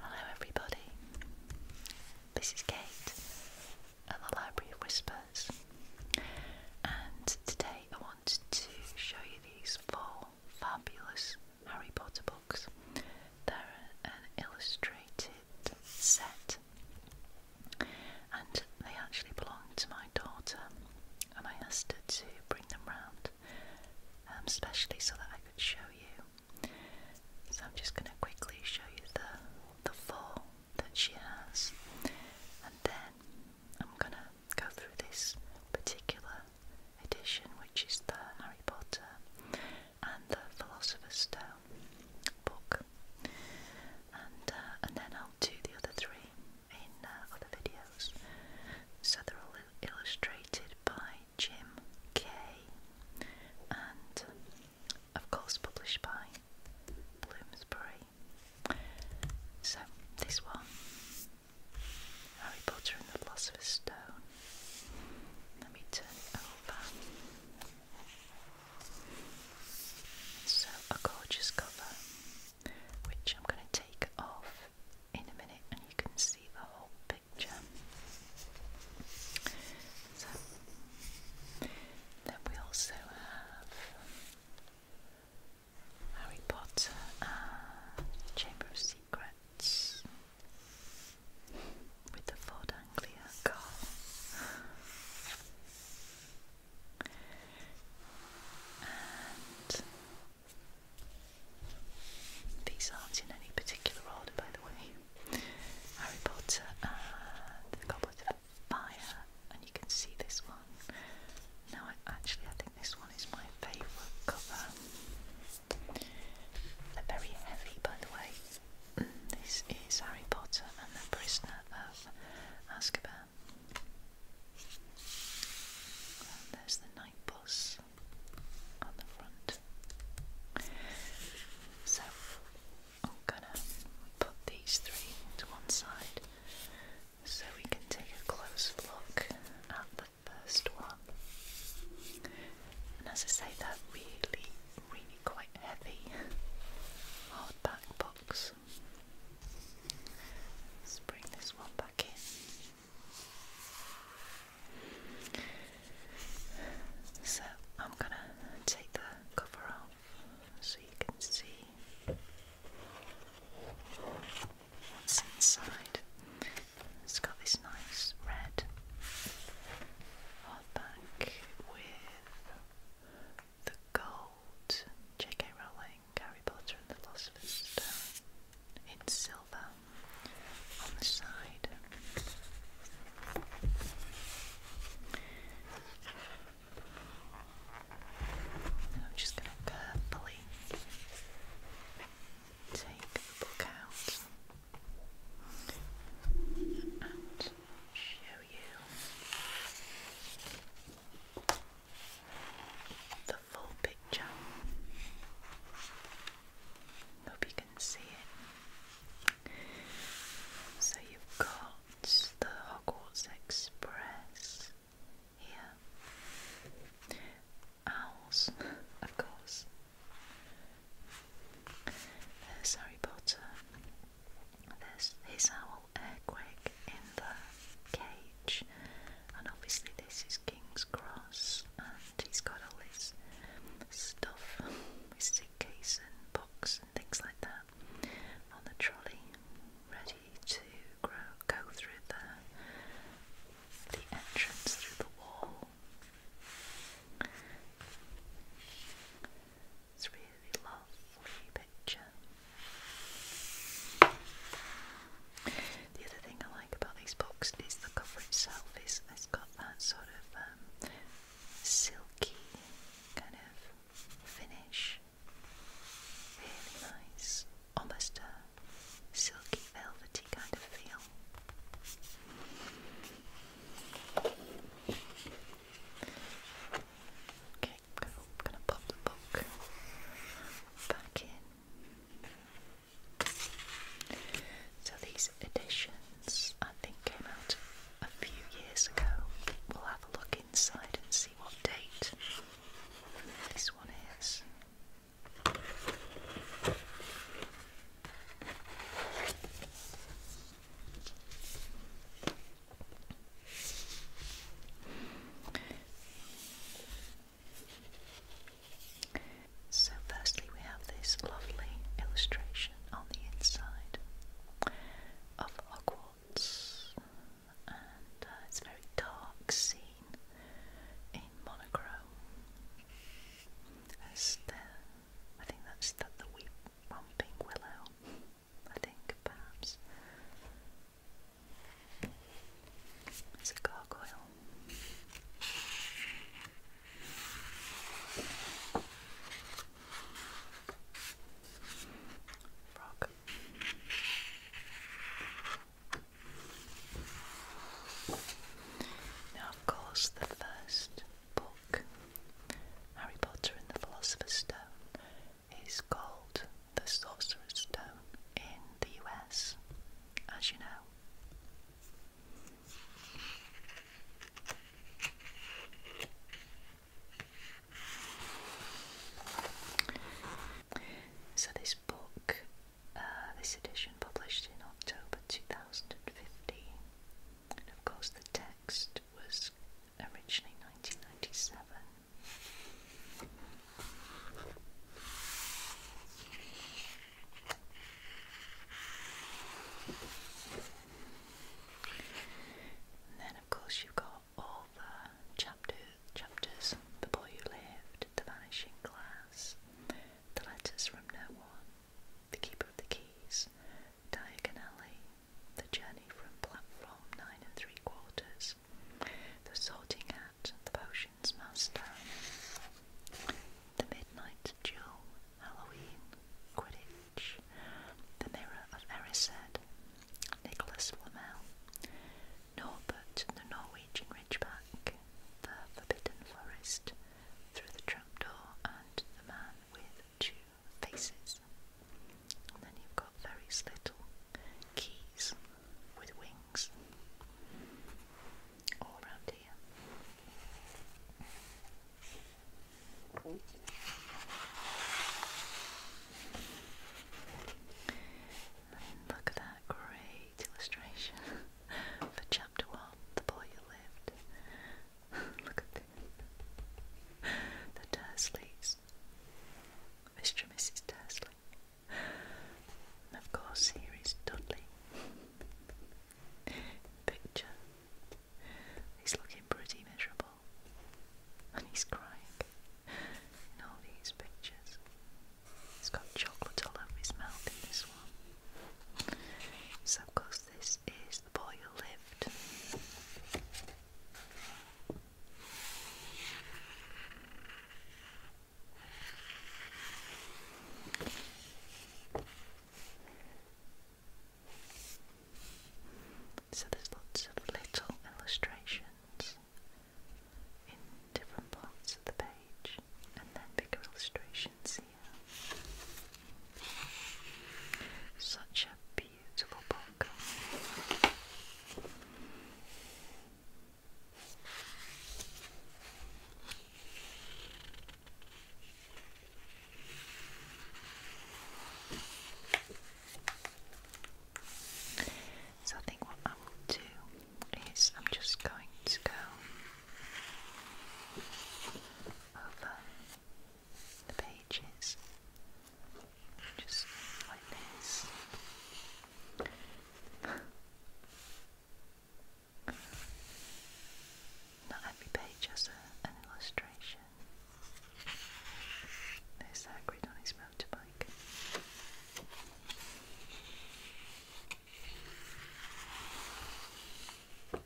Hello, everybody. This is Kate at the Library of Whispers, and today I wanted to show you these four fabulous Harry Potter books. They're an illustrated set, and they actually belong to my daughter, and I asked her to bring them round especially um, so that I could show you. So I'm just going to quickly show you the, the fall that she has, and then I'm going to go through this particular edition, which is the Harry Potter and the Philosopher's Stone book, and uh, and then I'll do the other three in uh, other videos. So they're all illustrated by Jim Kay and of course published by Bloomsbury. So this one Harry Potter and the Philosopher's Stone. Let me turn over. So a gorgeous cover which I'm going to take off in a minute and you can see the whole then we also have Harry Potter Chamber of Secrets with the Ford Anglia car. And these aren't in any particular order, by the way. Harry Potter and the Goblet of Fire, and you can see this one. Now, actually, I think this one is my favourite cover. They're very heavy, by the way. Mm, this is Harry Potter and the Prisoner of Azkaban. there's the signposts on the front. So I'm gonna put these three to one side so we can take a close look at the first one. And as I say, they're really, really quite heavy hardback books. Let's bring this one back in. So I'm going to take the cover off so you can see what's inside. It's got this nice red hardback with the gold J.K. Rowling, Harry Potter and the Philosopher's Stone in silver on the side. I'm just going to carefully take the book out and show you full picture. Hope you can see it. So you've got the Hogwarts Express here. Owls, of course. There's Harry Potter. There's his owl Airquake in the cage, and obviously this is King's Cross, He's got all his stuff, his suitcase and box and things like that on the trolley, ready to go through the, entrance through the wall. It's really lovely picture. The other thing I like about these books is the cover itself is it's got that sort of um, silky kind of finish. Really nice, almost a silky velvety kind of feel. Okay, I'm gonna pop the book back in. So these editions I think came out a few years ago. We'll have a look inside and see what date this one is. So, firstly, we have this lovely illustration on the inside of Hogwarts, and uh, it's a very dark scene in monochrome. As the, I think that's the, the weep, willow, I think perhaps. It's a gargoyle. Now, of course, the first book, Harry Potter and the Philosopher's Stone, is called The Sorcerer's Stone in the US, as you know. So this book, uh, this edition published in October 2015, and of course the text was originally 1997. And then, of course, you've got all the chapter, chapters The Boy Who Lived, The Vanishing Glass, The Letters from No One, The Keeper of the Keys, Diagon Alley, The Journey from Platform 9 and 3 Quarters, The Sorting Hat, The Potion. The Midnight Duel, Halloween, Quidditch, The Mirror of Erised, Nicholas Flamel, Norbert the Norwegian Ridgeback, The Forbidden Forest, Through the Trapdoor, and The Man with Two Faces. And then you've got various little keys with wings all around here. look at that great illustration for chapter one, the boy who lived. look at The Dursleys. Mr. and Mrs. Dursley. And of course here is Dudley picture. He's looking pretty miserable and he's crying in all these pictures. He's got chocolate all over his mouth in this one. So, of course, this is the boy who lived. So there's lots of little illustrations in different parts of the page, and then bigger illustrations here. Such a beautiful book. So I think what I will do is I'm just going to go over the pages just like this. Not every page has an illustration. There's Hagrid on his motorbike. Oh,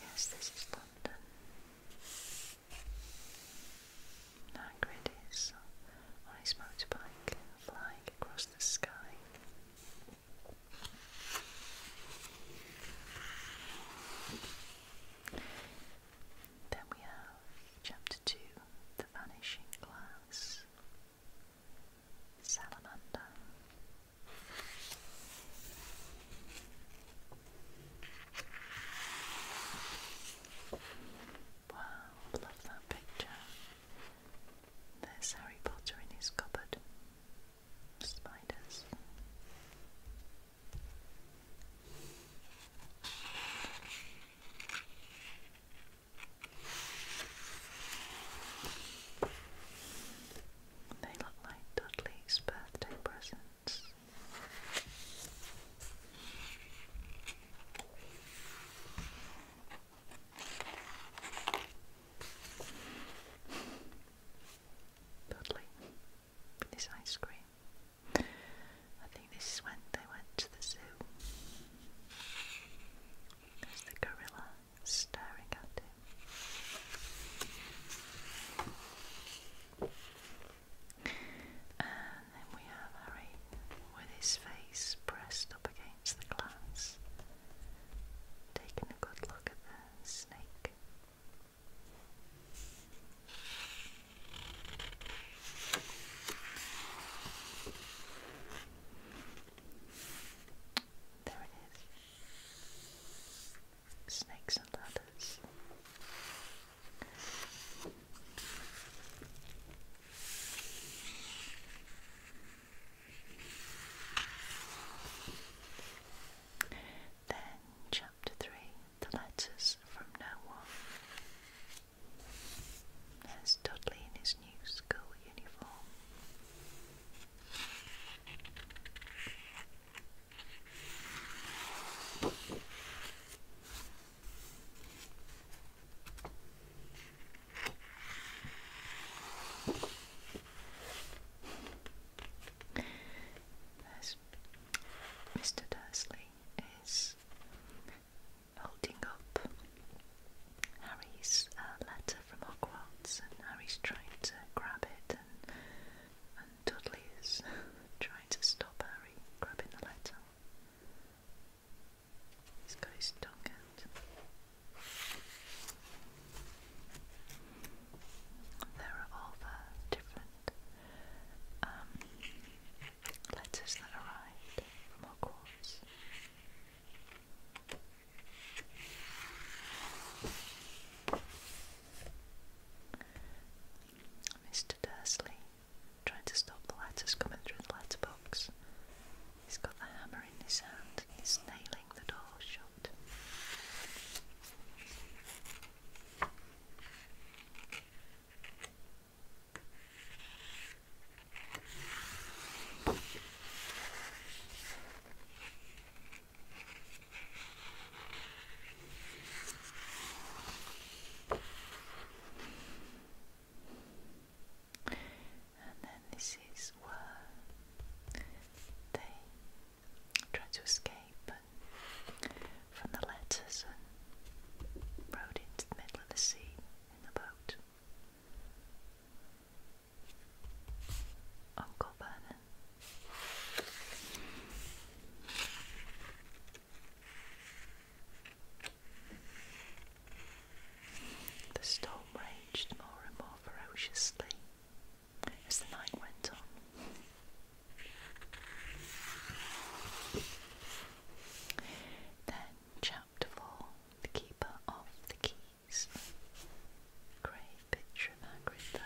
yes, this is London. Niagara on his motorbike, flying across the sky. Then we have Chapter 2 The Vanishing Glass. Salamander. Wow, Love that picture. There's Harry Potter in his cupboard. Spiders. They look like Dudley's birthday presents. Dudley with ice cream. I think this is when they went to the zoo. There's the gorilla staring at him. And then we have Harry with his face pressed up against the glass, taking a good look at the snake. There it is. Snakes and ladders. Then, Chapter 3 The Letters from No One. There's Dudley in his new school uniform. Mr. Dursley is holding up Harry's uh, letter from Hogwarts, and Harry's trying to grab it, and Dudley is trying to stop Harry grabbing the letter. He's got his tongue There are all the different um, letters that arrived from Hogwarts. Mr. Dursley trying to stop the letters coming through the letterbox. He's got the hammer in his hand, he's nailing the door shut and then this is where they tried to escape from the letters and rode into the middle of the sea in the boat. Uncle Vernon. The storm raged more and more ferociously as the night went on. Then, Chapter 4 The Keeper of the Keys. Great picture of Hagrid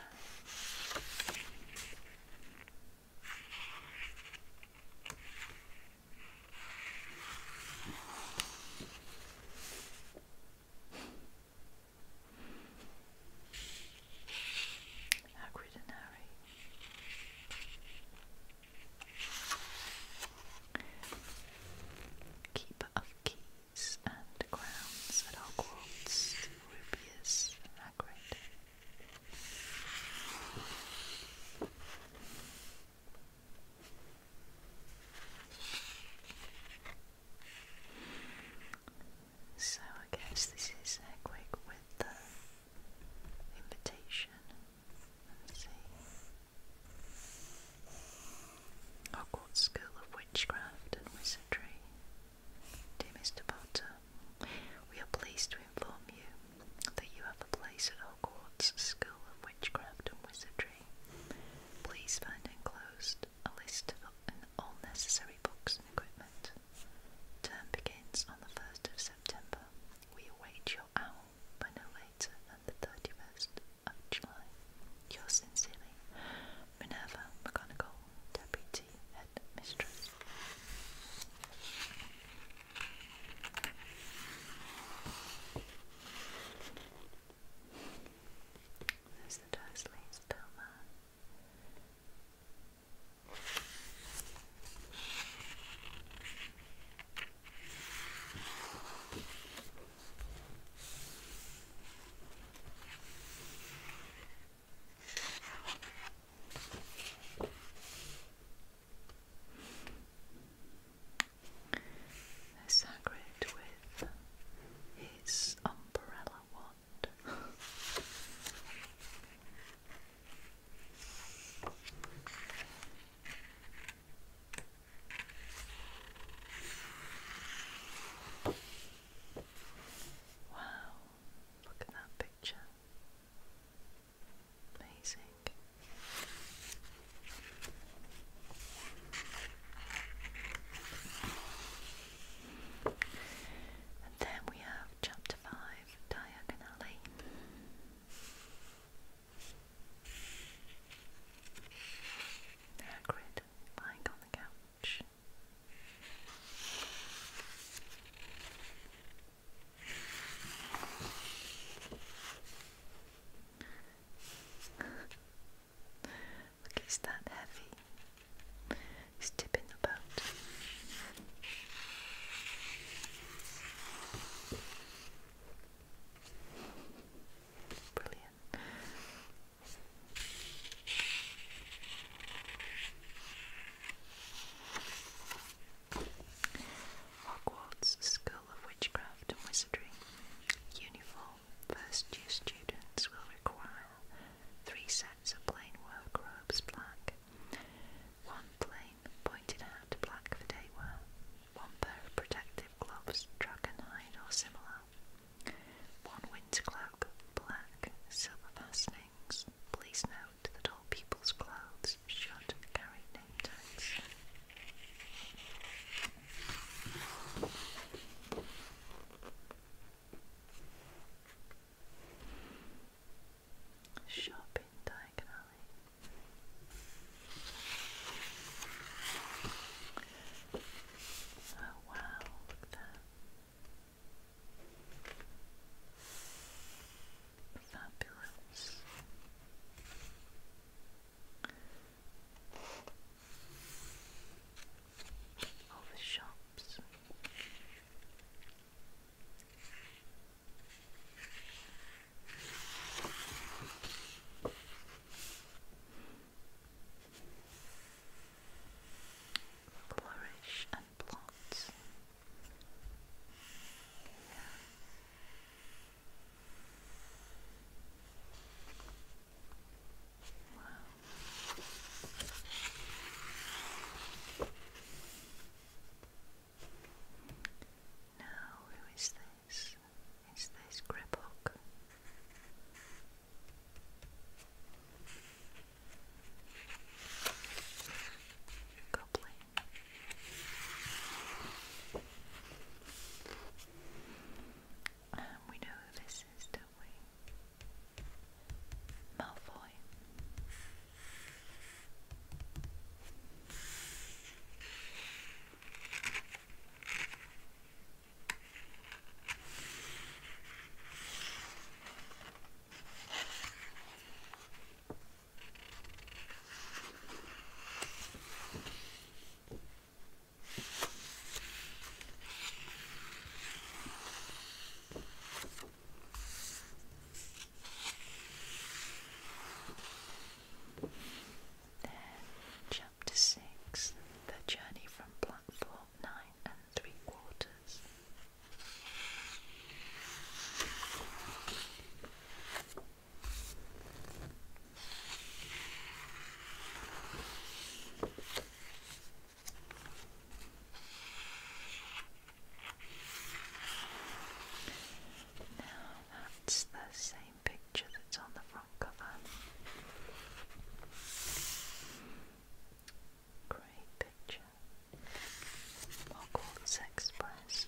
Hagrid and Harry. Keeper of keys and crowns at Hogwarts, Rubius Hagrid. So I guess this is Egwig with the invitation. Hogwarts School of Witchcraft and Wizardry. Dear Mr. Potter, we are pleased to inform you that you have a place at court's School of Witchcraft and Wizardry. Please find enclosed a list of all necessary books and equipment. Term begins on the 1st of September. We await your owl by no later than the 31st of July. Yours sincerely, Minerva McGonagall, Deputy Head Mistress. There's the Dursley Stoma. Sagrid with his umbrella wand. wow, look at that picture. Amazing. And then we have chapter five, diagonally. Hagrid lying on the couch. Look, he's that heavy. He's tipping the boat. Brilliant. Hogwarts School of Witchcraft and Wizardry uniform first year students will require three sets of plain work robes black, one plain pointed hat black for day wear, one pair of protective gloves dragon hide or similar, one winter cloak black, silver fastenings. Please note that all people's clothes should carry name tags. diagonally. Oh wow, look at that. Fabulous all the shops. Flourish and plots. Yeah. Wow. Now, who is this? Is this Griphook? Goblin. Um, we know who this is, don't we? Malfoy chapter six The Journey from Platform Nine and Three Quarters. Now that's the same picture that's on the front cover. Great picture. Hogwarts Express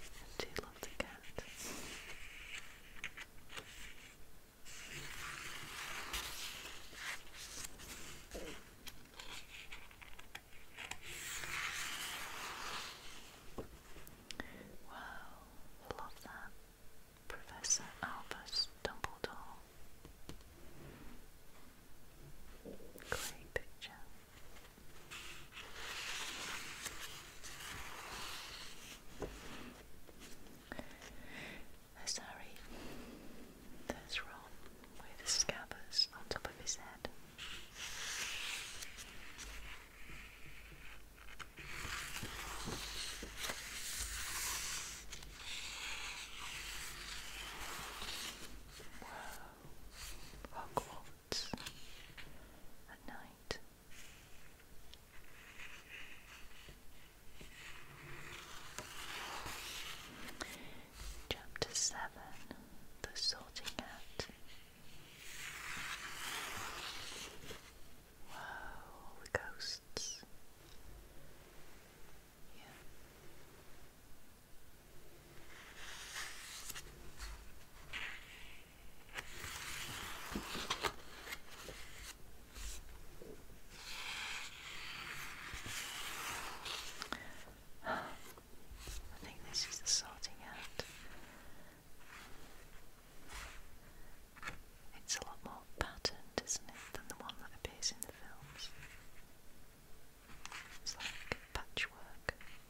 and she loved a cat. Wow, love that. Professor Albus Dumbledore. Great picture. Oh, sorry, that's wrong with the scabbers on top of his head. Whoa, Hogwarts. Oh, at night. Chapter 7 The Sorting Hat. Wow, the ghosts. Yeah. I think this is the sorting out. It's a lot more patterned, isn't it, than the one that appears in the films? It's like patchwork.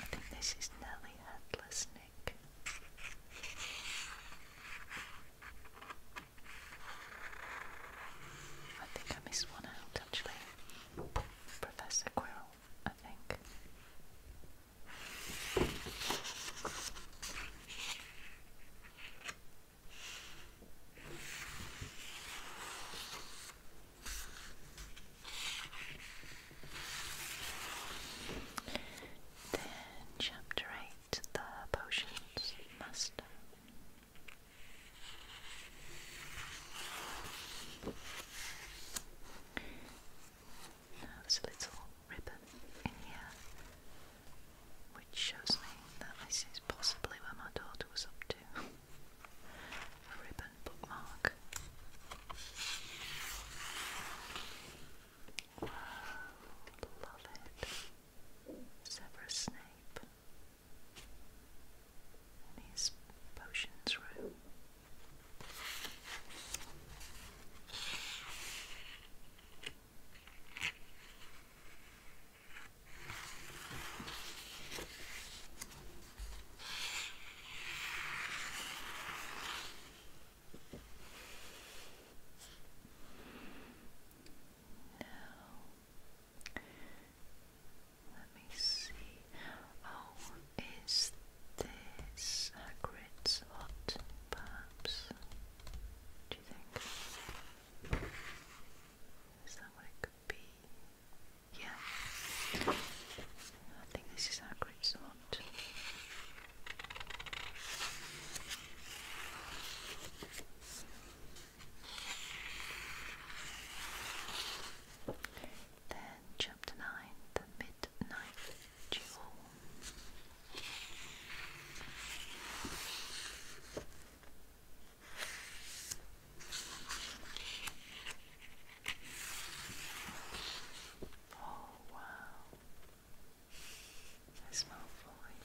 I think this is Nellie Headless Nick. I think I missed one out actually. Professor Quirrell, I think. Then, Chapter 8 The Potions Master. Now, there's little ribbon in here which shows me that this is possibly where my daughter was up to. a ribbon bookmark. Wow, love it. Severus Snape in his potions room. Now, let me see. Oh, is this Hagrid's hut, perhaps? Do you think? Is that what it could be? Yeah. I think this is our great spot. Then chapter nine, the midnight jewel. Oh, wow. I smell fine.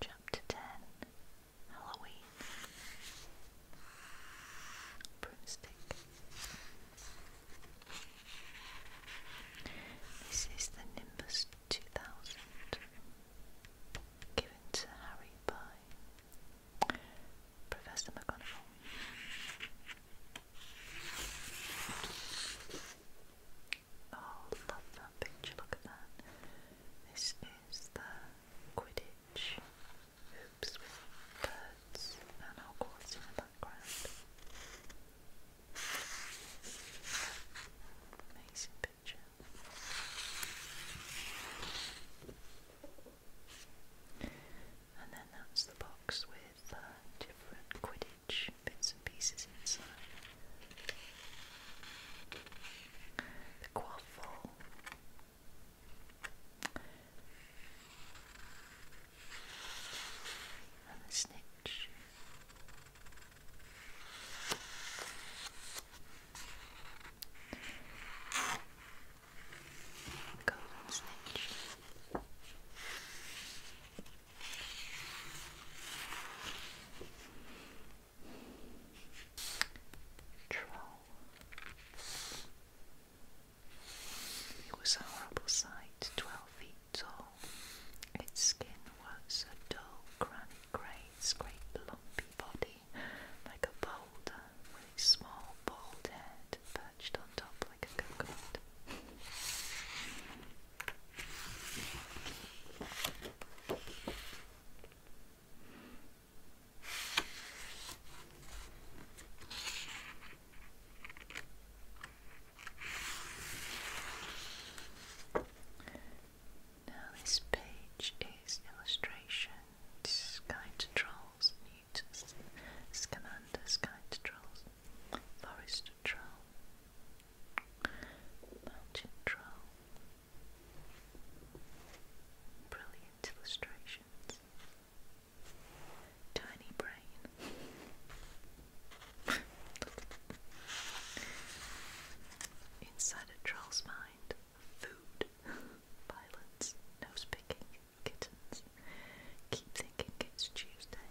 Chapter 10 Halloween Broomstick. This is the Nimbus 2000, given to Harry by Professor McGonagall. Oh, love that picture, look at that. This is the Quidditch hoops with birds and Hogwarts in the background. Amazing picture. And then that's the box with uh, different Quidditch bits and pieces inside. The quaffle. And the snitch. It was a horrible sight twelve feet its skin was a dull granite grey, scraped lumpy body, like a boulder, with a small bald head perched on top like a coconut. Now, this page is illustrations, guide trolls, Newton's Scamander's guide trolls, forest troll, mountain troll. Brilliant illustrations. Tiny brain. Inside a troll's mind, food, violence, nose picking, kittens. Keep thinking it's Tuesday.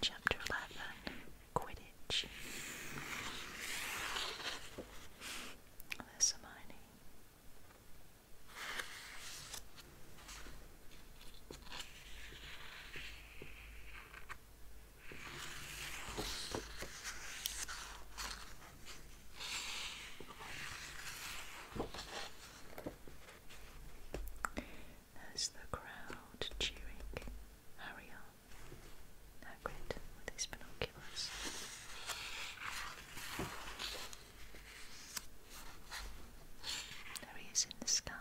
chapter 11 Quidditch. There's Hermione there's the crowd cheering Harry on. with his binoculars. There he is in the sky.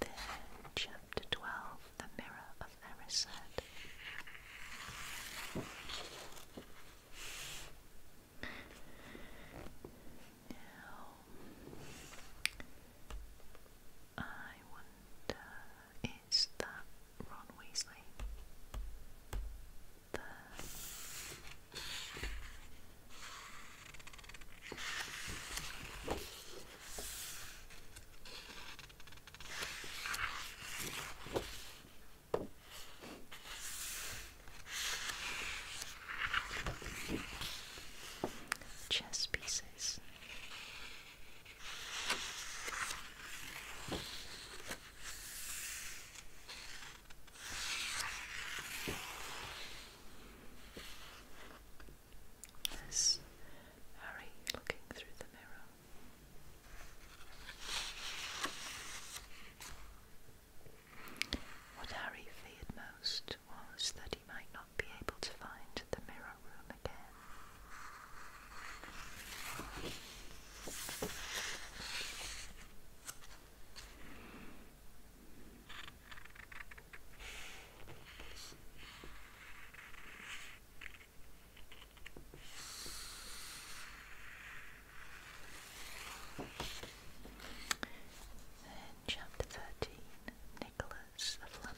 There, chapter 12 The Mirror of Erised. Now, I wonder, is that Ron Weasley? There. Chess piece glasses. Harry looking through the mirror. What Harry feared most was that he might not be able to find the mirror room again. chapter 13 Nicholas was of Flamel.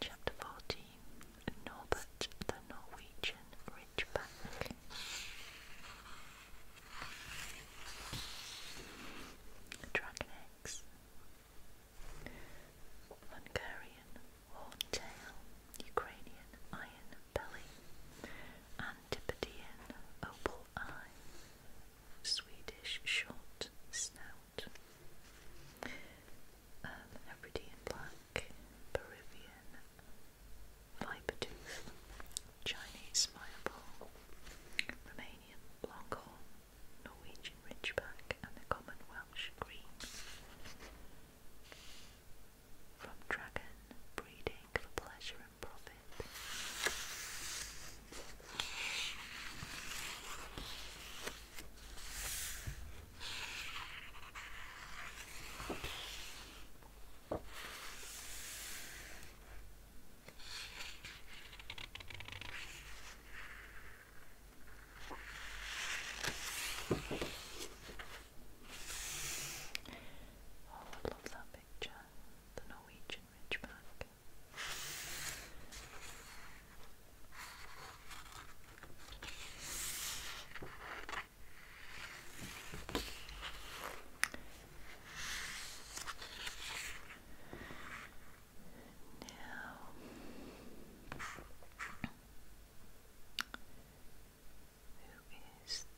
Chapter 14 Norbert the Norwegian Ridgeback. Dragon Eggs. Hungarian Horntail, Ukrainian Iron Belly, Antipodean Opal Eye, Swedish short snout, um, Hebridean black, Peruvian vipertooth, Chinese smile Romanian longhorn, Norwegian ridgeback, and the common Welsh green. From dragon breeding for pleasure and profit. Oh, I love that picture. The Norwegian Ridgeback. Now, who is this?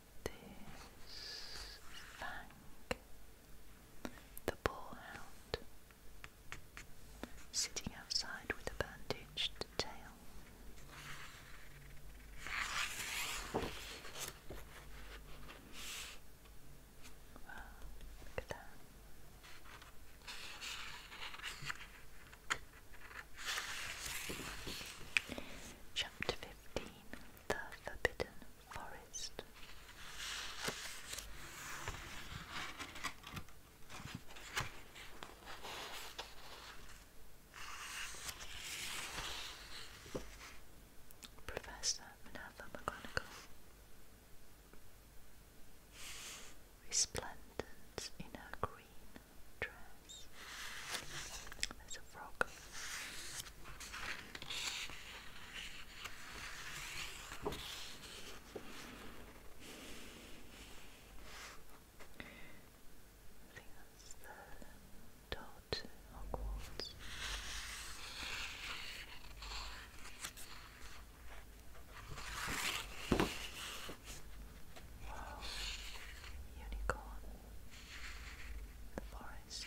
Fang, the ball sitting outside with a bandaged tail. Chapter 15 The Forbidden forest. Professor Minerva McGonagall, resplendent in her green dress. There's a frog. I think that's the door Hogwarts. unicorn, the forest.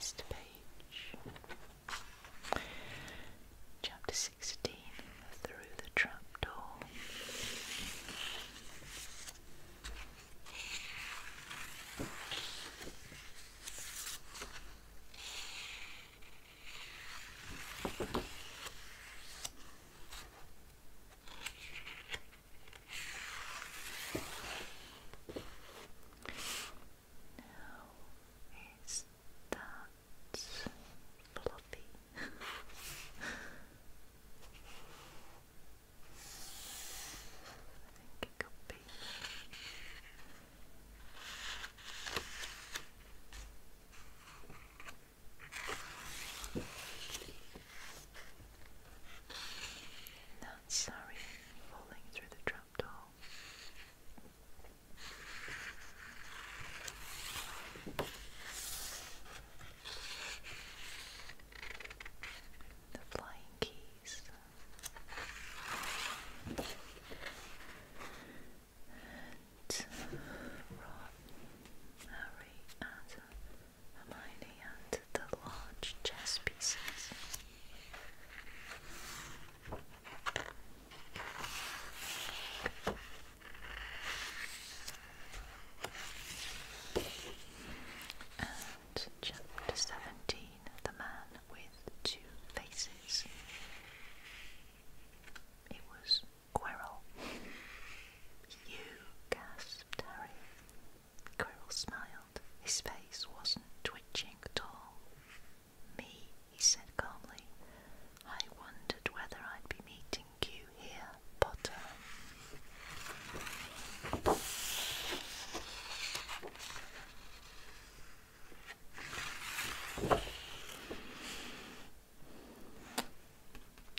Mr. Page. Chapter 16 Through the Trapdoor. Now is that fluffy? I think it could be. Not sorry falling through the trapdoor. The flying keys. And Rob, Harry, and Hermione and the large chess pieces. And chapter 17 The Man with Two Faces. It was Quirrell. You gasped, Harry. Quirrell smiled. His face wasn't twitching at all. Me, he said calmly. I wondered whether I'd be meeting you here, Potter.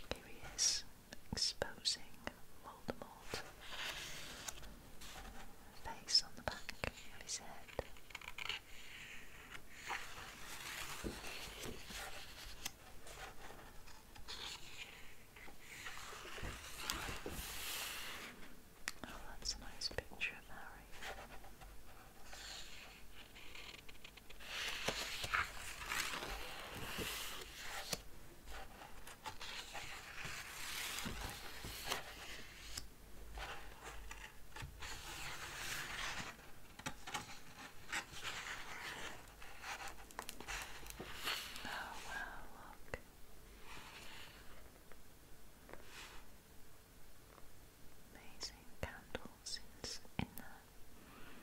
Here he is exposing Voldemort face on the back of his head. Oh, that's a nice picture of Harry. Oh, wow, look. Amazing candles in, in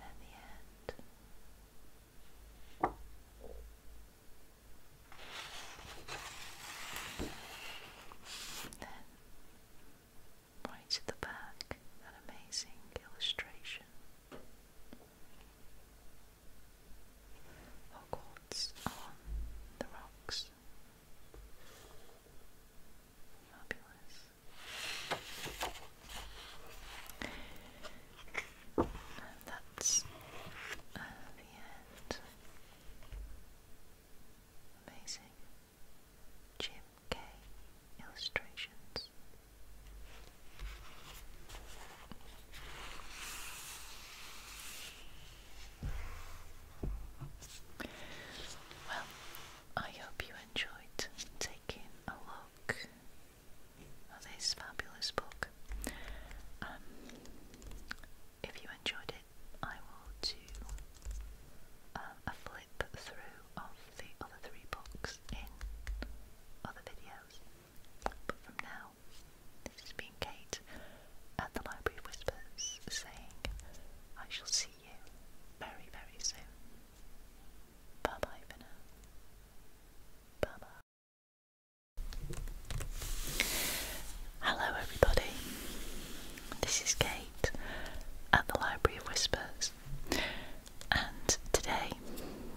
at the end. Then, right at the back, an amazing illustration. Hogwarts on the rocks. Fabulous. that's uh, the end. Amazing. Jim K. Illustrations. Well, I hope you enjoyed taking a look at this fabulous book. Um, if you enjoyed it, I will do um, a flip through of the other three books in other videos. But from now, this has been Kate at the Library Whispers saying, I shall see you very, very soon. Bye bye for Bye bye. Hello, everybody. This is Kate at the Library of Whispers, and today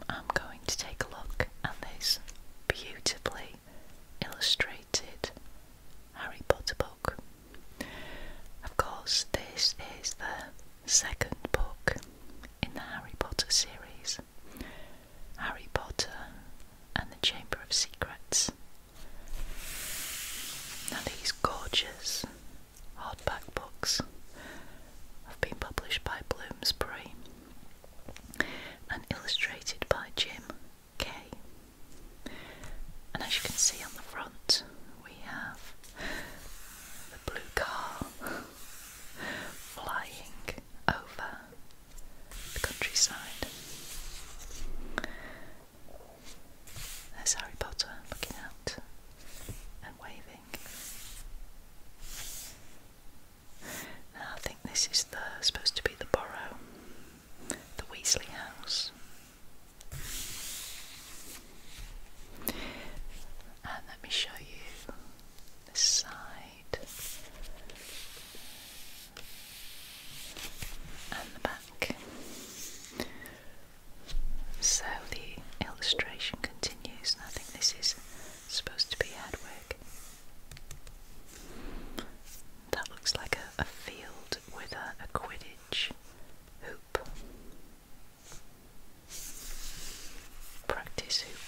I'm going to take a look at this beautifully illustrated Harry Potter book. Of course, this is the second book in the Harry Potter series Harry Potter and the Chamber of Secrets. Now, these gorgeous hardback books have been published by Bloomsbury and illustrated by Jim Kay. And as you can see on the front, we have the blue car flying over the countryside. There's Harry Potter looking out and waving. Now I think this is the supposed to be the borough, the Weasley house. And let me show you this side and the back. So the illustration continues, and I think this is supposed to be Hedwig. That looks like a, field with a Quidditch hoop practice hoop.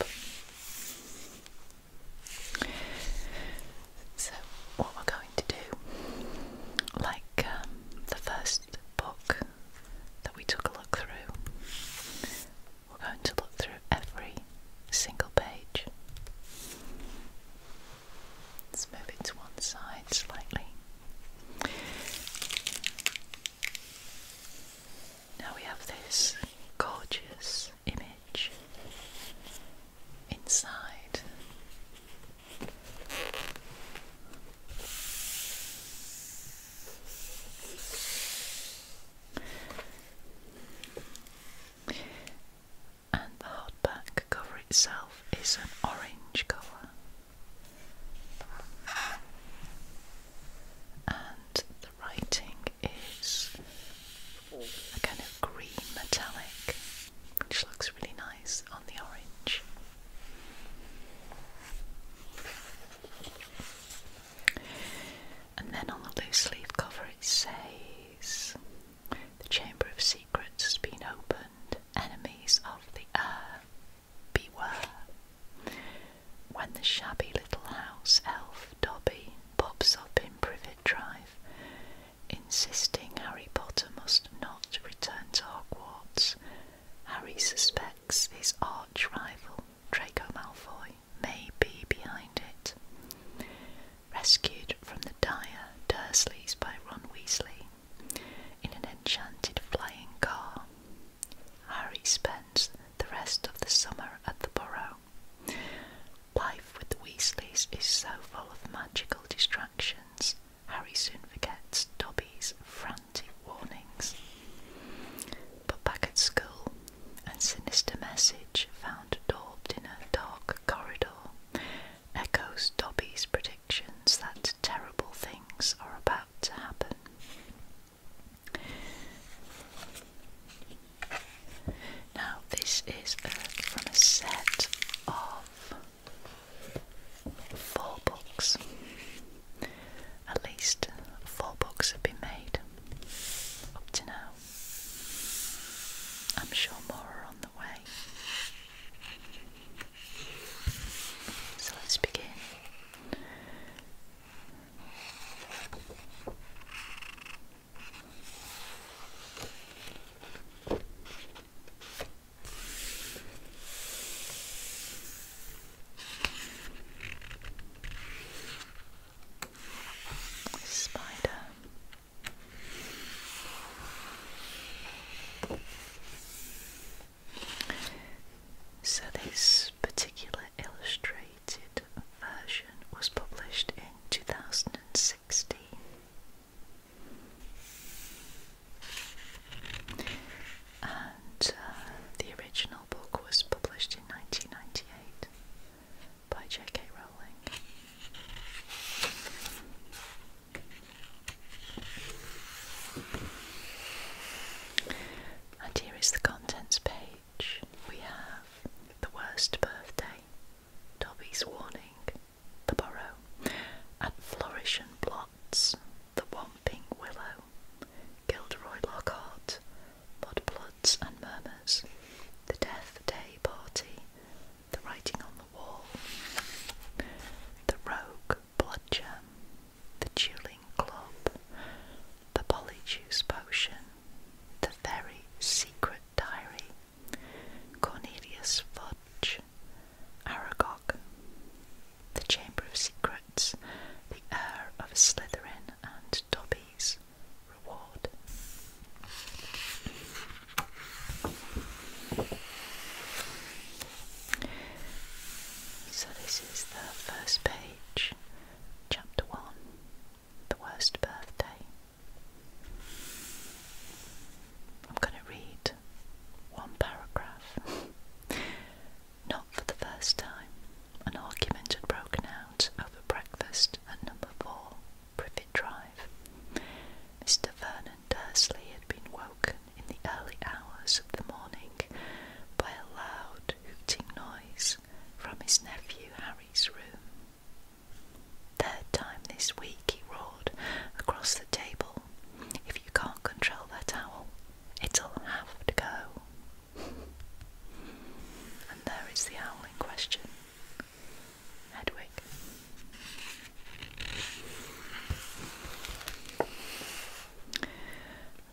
So, what we're going to do, like um, the first book that we took a look through, we're going to look through every single page. Let's move it to one side slightly. Now we have this gorgeous image inside. And the hardback cover itself is an orange colour and the writing is a green metallic, which looks really nice on the orange. And then on the loose leaf cover, it says The Chamber of Secrets has been opened, enemies of the Earth." beware. When the shabby little house elf Dobby pops up in Privet Drive, insisting Harry Potter must not return to Hogwarts, Harry suspects his arch rival Draco Malfoy may be behind it. Rescued from the dire Dursleys by Ron Weasley, in an enchanted flying car. Harry spends the rest of the summer at the Burrow. Life with the Weasleys is so full of magical distractions, Harry soon forgets Dobby's frantic warnings. But back at school, a sinister message found daubed in a dark corridor echoes Dobby's predictions that terrible things are about to happen. Now, this is uh, from a set of four books. At least four books have been made up to now. I'm sure more are on the way. So let's begin. Spider. So, this particular illustrated version was published in 2016. And uh, the original book was published in 1998 by J.K. Rowling. And here is the contents page. We have the worst birthday, Dobby's warning, the burrow, and Flourish and plots. the Wamping Willow, Gilderoy Lockhart, Mudbloods and Murmurs, the Death Day Party, the Writing on the Wall, the Rogue Blood gem the dueling club, the polyjuice potion, the very secret diary, Cornelius Fudge, Aragog, the Chamber of Secrets, the heir of Slytherin and Dobby's reward. So, this is the first page, chapter one The Worst Birthday. I'm going to read one paragraph. Not for the first time, an argument had broken out over breakfast at number four, Privet Drive. Mr. Vernon Dursley had been woke in the early hours of the morning by a loud hooting noise from his nephew Harry's room. Third time this week he roared across the table, If you can't control that owl, it'll have to go. and there is the owl in question, Hedwig.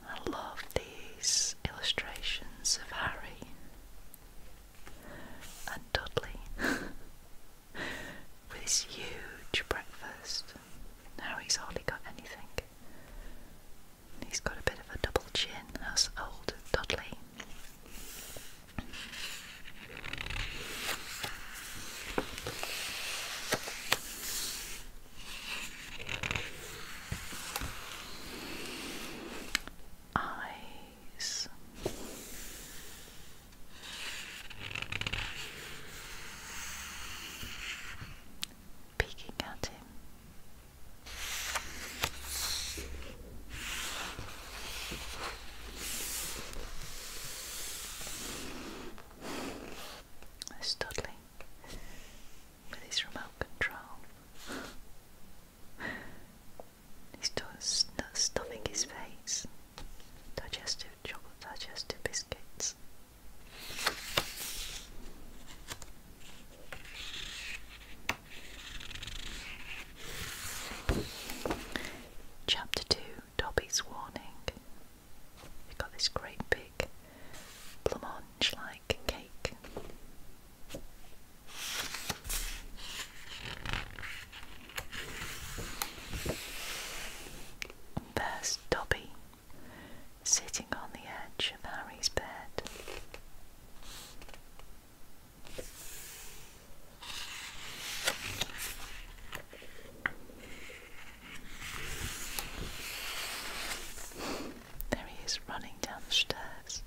I love these illustrations of Harry and Dudley with his huge breakfast. Now he's hardly got anything. He's got a bit of a double chin, as old Dudley eyes. Peeking at him. Studley with his remote control. He's not stuffing his face. Digestive chocolate, digestive biscuits. Chapter 2 Dobby's Warning We've got this great big blancmange like cake. there's Dobby sitting on the edge of Harry's bed. There he is running down the stairs.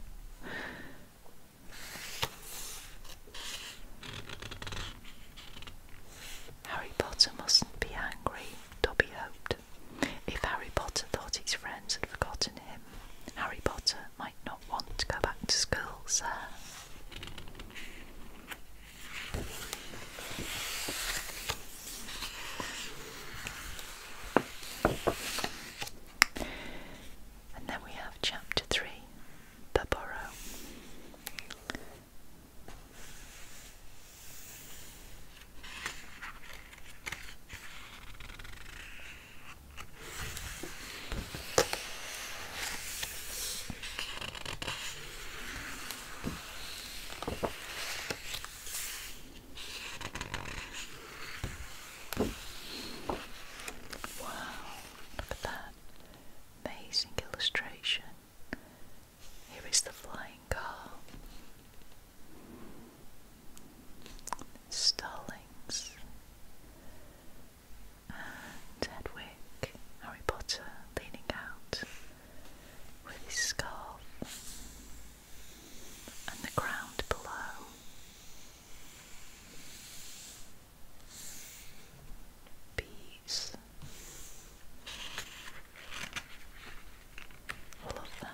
Harry Potter mustn't be angry, Dobby hoped. If Harry Potter thought his friends had forgotten him, Harry Potter might not want to go back to school, sir. And then we have chapter three, the burrow. Wow, look at that. Amazing illustration. Here is the flying car. Starlings. And Harry Potter leaning out with his scarf and the ground below. Bees. love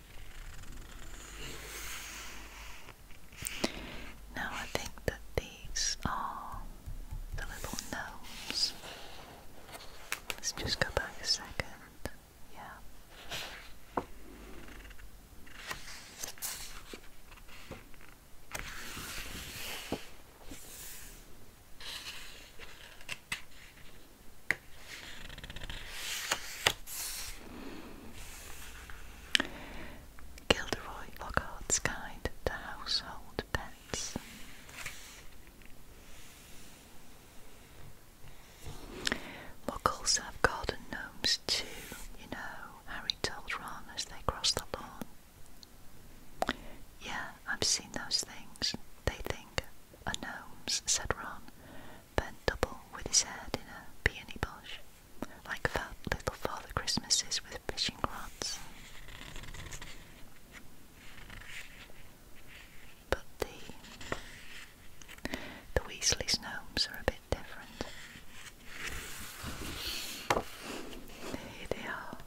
Now I think that these are the little gnomes. Let's just go back a second. Yeah. Gilderoy Lockhart's Guide to Household Pets. Muggles have garden gnomes too, you know, Harry told Ron as they crossed the lawn. Yeah, I've seen those things. They think are gnomes, said Ron, bent double with his head in a peony bush, like fat little Father Christmases with fishing rods. But the, the Weasley's gnomes are a bit different. Here they are.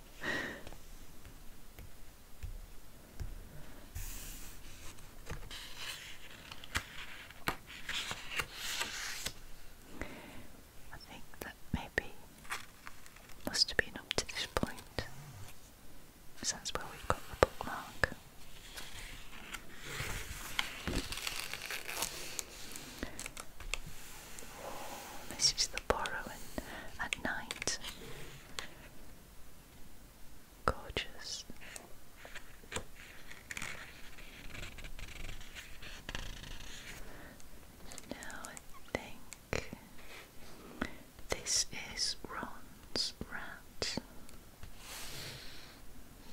I think that maybe must have been up point, because that's where we've got the bookmark. This is the borrowing at night. Gorgeous. Now think this is Ron's rat.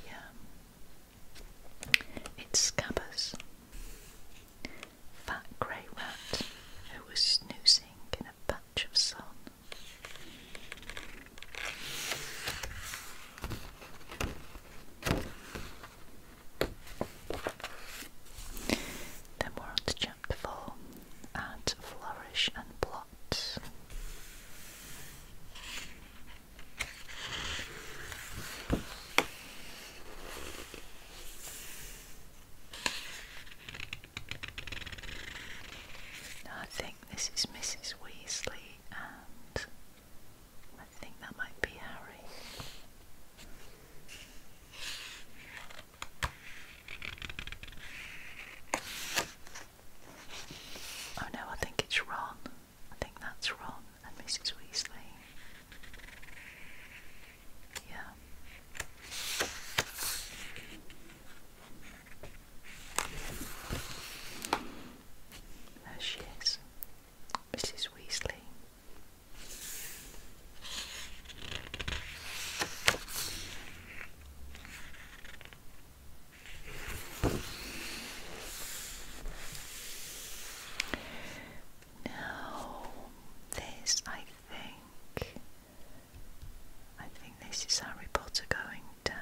Yeah. It's Scabbers. Fat grey rat who was snoozing in a patch of sun. Then we're on to chapter four add flourish and plot. I think this is Mrs. Weasley I think that might be Harry. Oh no, I think it's Ron. I think that's Ron and Mrs. Weasley. Yeah. There she is, Mrs. Weasley. Now, this I think, I think this is Harry Potter going down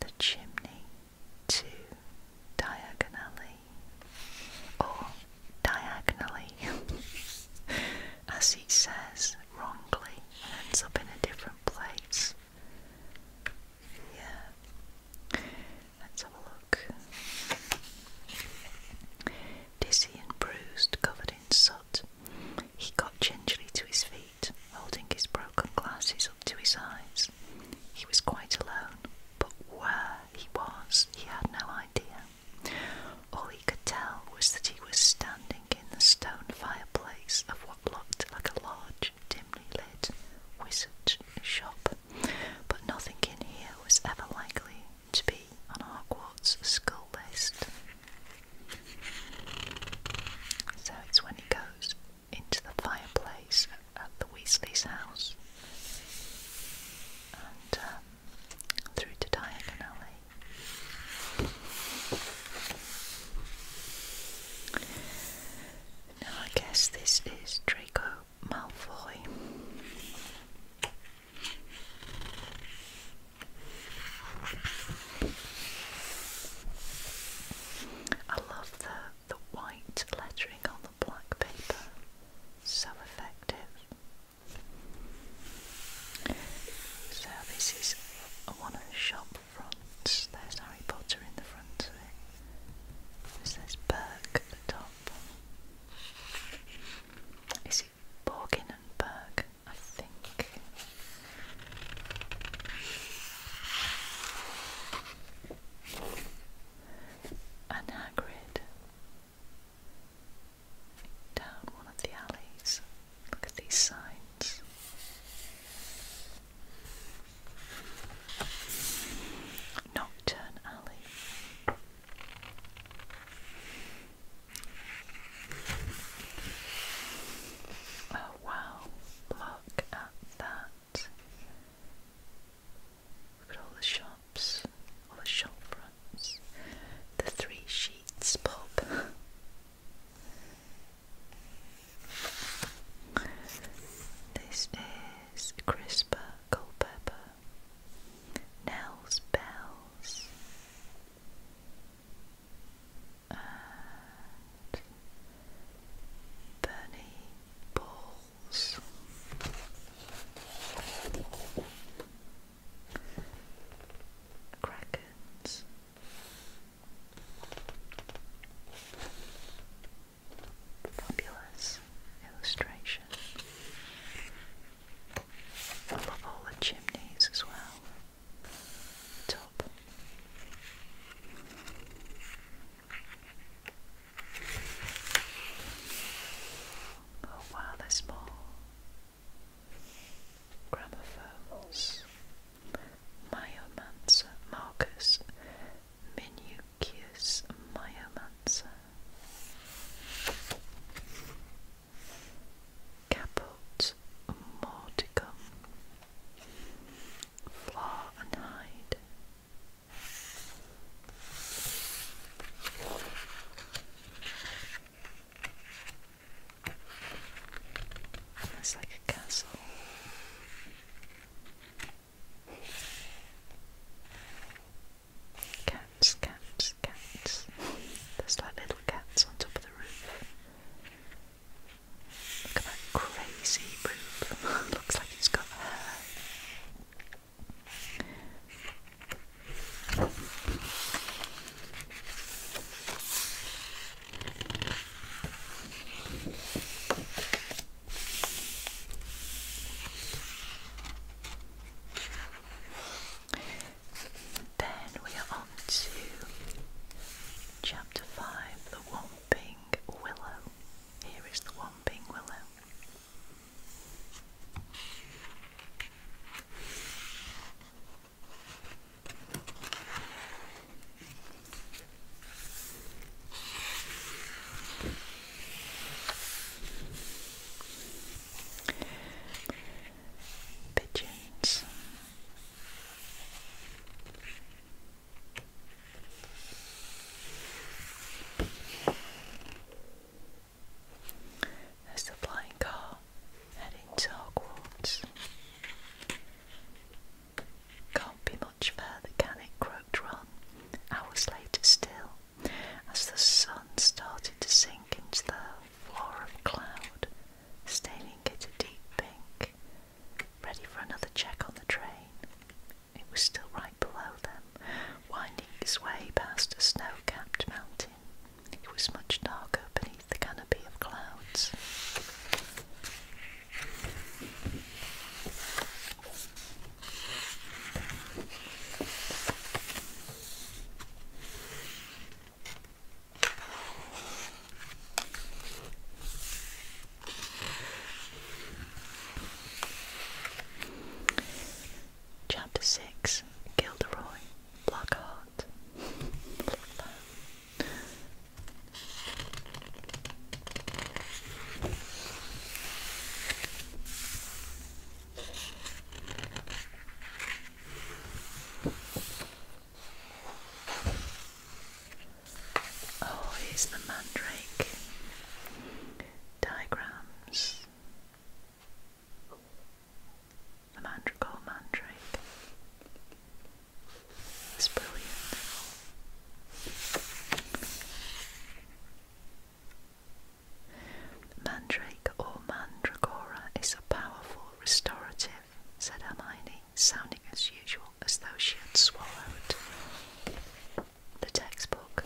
the chimney to diagonally or diagonally as it says wrongly ends up in a different place. Yeah. Let's have a look. Dizzy and bruised, covered in soot, he got gingerly to his feet holding his broken glasses up to his eyes. He was quite alone, but where he was, he had no idea. All he could tell was that he was standing in the stone fireplace of what looked like a large, dimly lit wizard shop, but nothing in here was ever likely to be on Hogwarts' school list. So it's when he goes into the fireplace at the Weasley's house and um, through to Diagon Alley. Now I guess this is Draco Malfoy. I love the, the white lettering on the black paper, so effective. So, this is one of shop fronts. There's Harry Potter in the front says Burke at the top. Is it Borgin and Burke? I think. And down one of the alleys. Look at these signs. Nocturne Alley. Oh wow, look at that. Look at all the shops, all the shop fronts, the three sheets pub. This is Crisper Culpepper, Nell's Bells, Bunny Balls. Krakens. Fabulous illustration. I love all the chimneys as well help. Oh wow, there's Marcus Minucius Myomancer. Caput Morticum Flaw and hide. It's like a castle. Cats, cats, cats. There's like little cats on top of the roof. Look at that crazy boob. Looks like it's got hair. Then we are on to chapter five, the one Wamping Willow. Here is the one. Wamping Willow. Pigeons. There's the car heading to Can't be much further, can it? croaked Hours later still, as the sun started to sink into the floor of cloud, staining it a deep pink ready for another check on the train. It was still right below them, winding its way past a snow-capped mountain. It was much darker beneath the canopy of clouds. Chapter Six: Gilderoy Blackheart. Oh, here's the mandrake diagrams. The mandrake, mandrake. It's brilliant. Mandrake or mandragora is a powerful restorative, said Hermione, sounding as usual as though she had swallowed the textbook.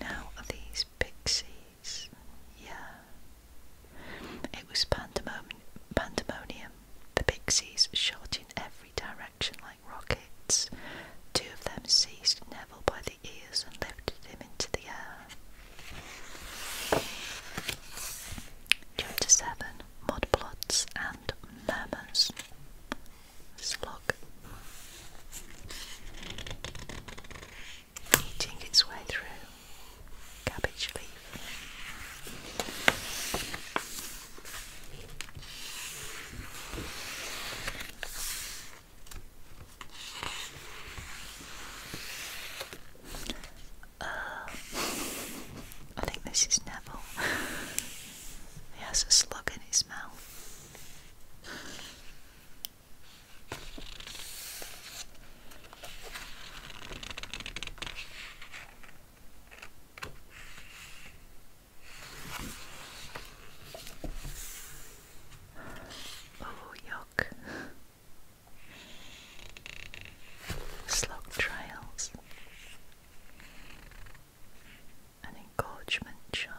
Now, are these pixies? Yeah. It was pandemonium, The pixies shot in every direction like rockets. Two of them seized Neville by the ears and lifted him into the air. Chapter 7 mudplots, and murmurs. Slug. Eating its way through cabbage leaf. Uh, I think this is Neville. He has a slug in his mouth. Oh, yuck. Slug trails an engorgement charm.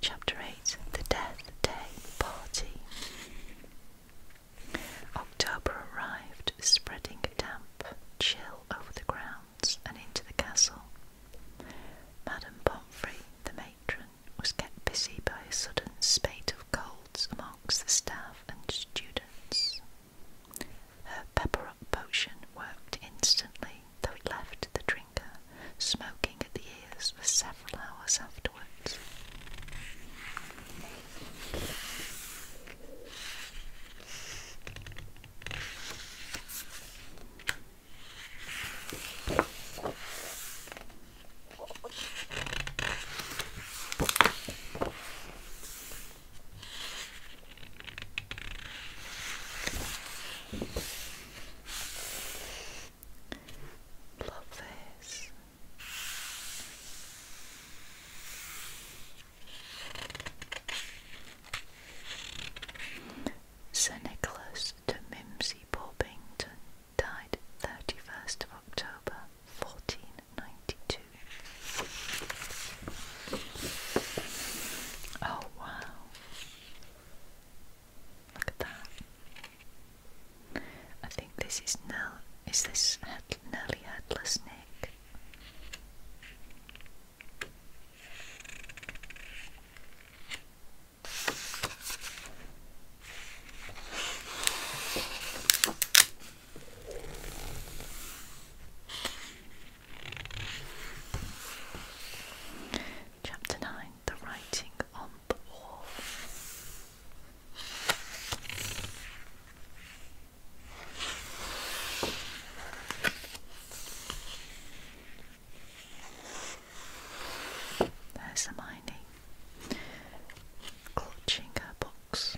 Chapter 8 The Death Day Party October arrived, spreading a damp chill over the grounds and into the castle. Madame Pomfrey, the matron, was kept busy by a sudden spate of colds amongst the staff and students. Her pepper-up potion worked instantly, though it left the drinker smoking at the ears for several hours afterwards afterwards. Love this. Sir Nicholas de Mimsy Porpington died 31st of October 1492. Oh wow. Look at that. I think this is Nell. Is this head Nelly Headless Nick? Chapter 9 The Writing on the Wall. There's Hermione clutching her box.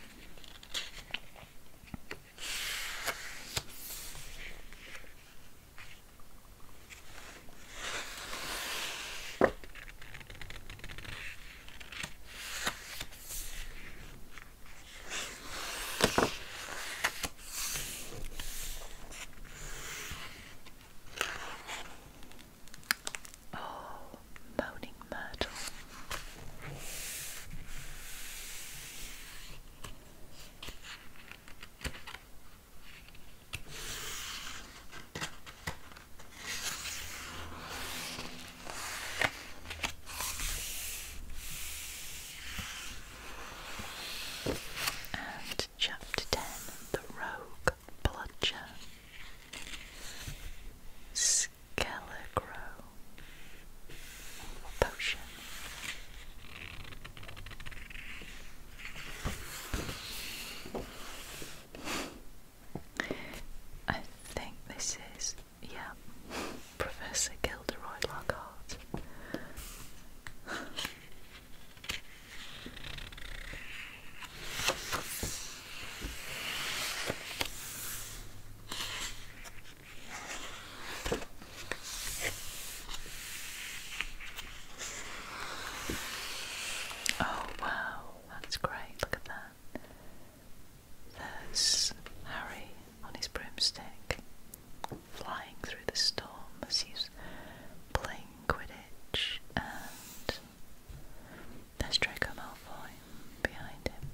Oh, moaning myrtle. And chapter 10 The Rogue Bludger Skelegro Potion. I think this is, yeah, Professor Gilderoy Lockhart. Oh wow, that's great, look at that. There's Harry on his broomstick, flying through the storm as he's playing Quidditch, and there's Draco Malfoy behind him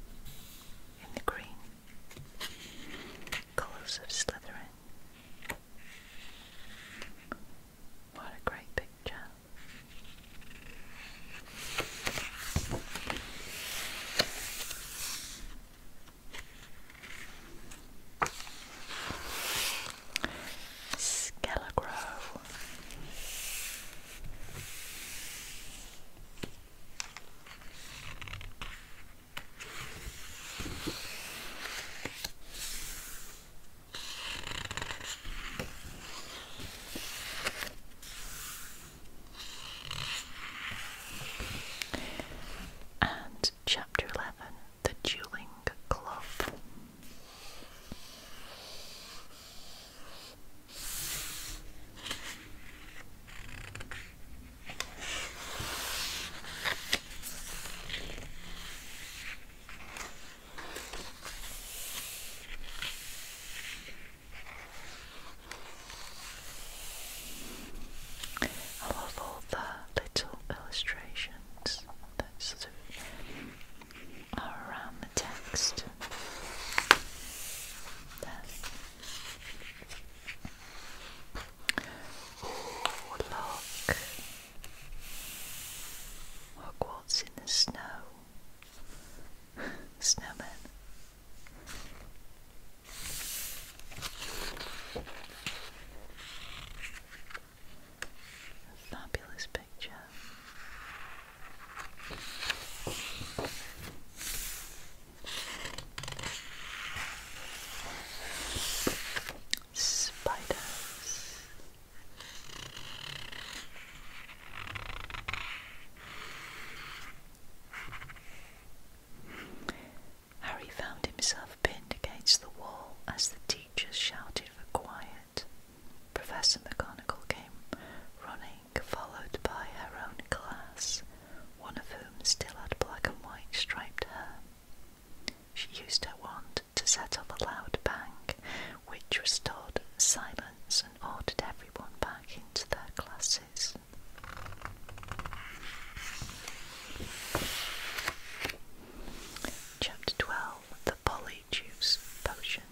in the green colours of Slytherin. What a great picture! Scarecrow. And chapter 11 The Dueling Club. I love all the little illustrations that sort of are around the text. Oh, look! Hogwarts in the snow. Snowman. Fabulous picture. Spiders. Harry found himself pinned against the wall as the teachers shouted for quiet. Professor McGonagall came running, followed by her own class, one of whom still had black and white striped hair. She used her wand to set off a loud bang, which restored silence and ordered everyone back into their classes. Chapter 12 The Polyjuice Potion.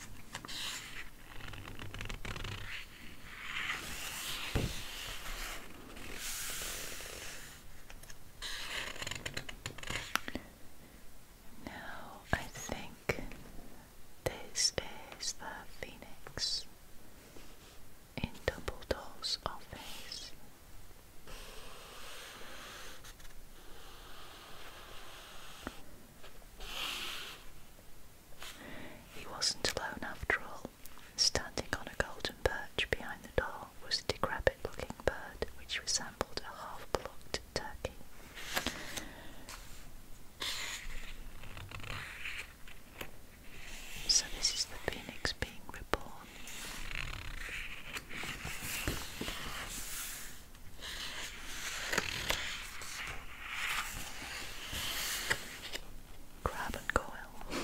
Now I think this is the Phoenix in Dumbledore's office. He wasn't alone after all. Standing on a golden perch behind the door was a decrepit looking bird which resembled a half plucked turkey. So, this is the phoenix being reborn. Crab and coil.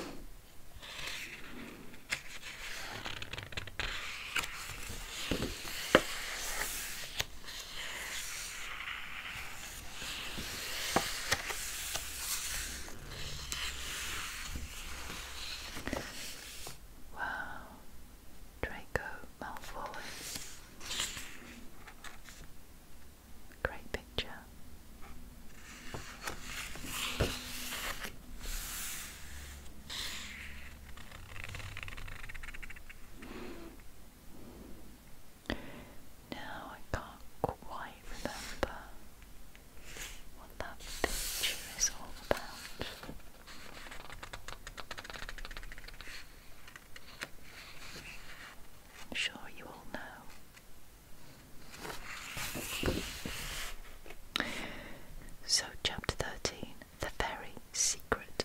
Wow, Draco Malfoy. Great picture. Now I can't quite remember what that picture is all about. I'm sure you all know. So, chapter 13 The Very Secret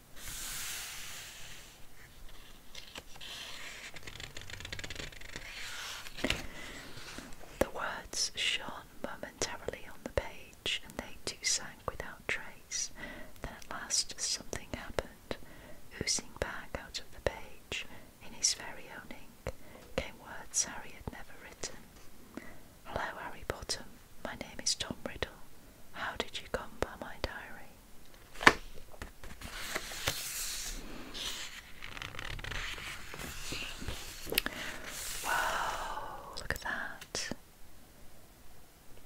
The words shone momentarily on the page, and they too sank without trace. Then at last something happened. Oozing back out of the page, in his very own ink, came words Harry had never written. Hello, Harry Bottom. My name is Tom Riddle. How did you come by my diary? Wow, look at that.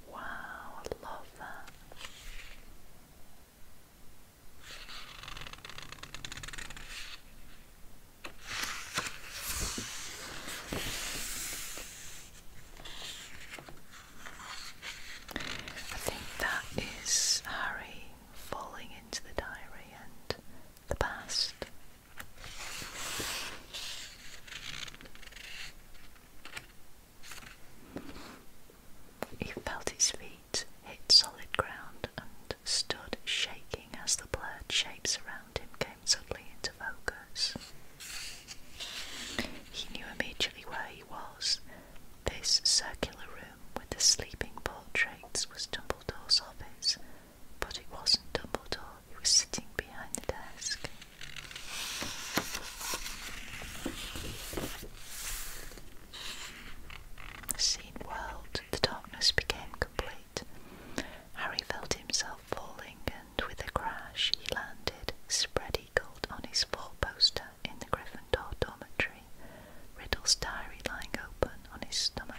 Wow, I love that. I think that is Harry falling into the diary and the past. He felt his feet hit solid ground and stood shaking as the blurred shapes around him came suddenly into focus. He knew immediately where he was. This circular room with the sleeping portraits was Dumbledore's office, but it wasn't Dumbledore He was sitting behind the desk. The scene whirled, the darkness became complete. Harry felt himself falling, and with a crash, he landed, spreading on his four-poster in the Gryffindor dormitory, Riddle's diary lying open on his stomach.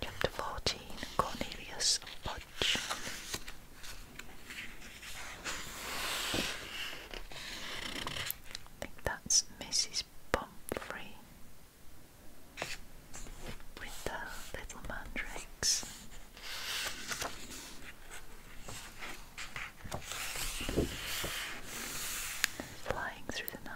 Chapter 14 Cornelius Budge I think that's Mrs. Pomfrey with the little mandrakes. Flying through the night.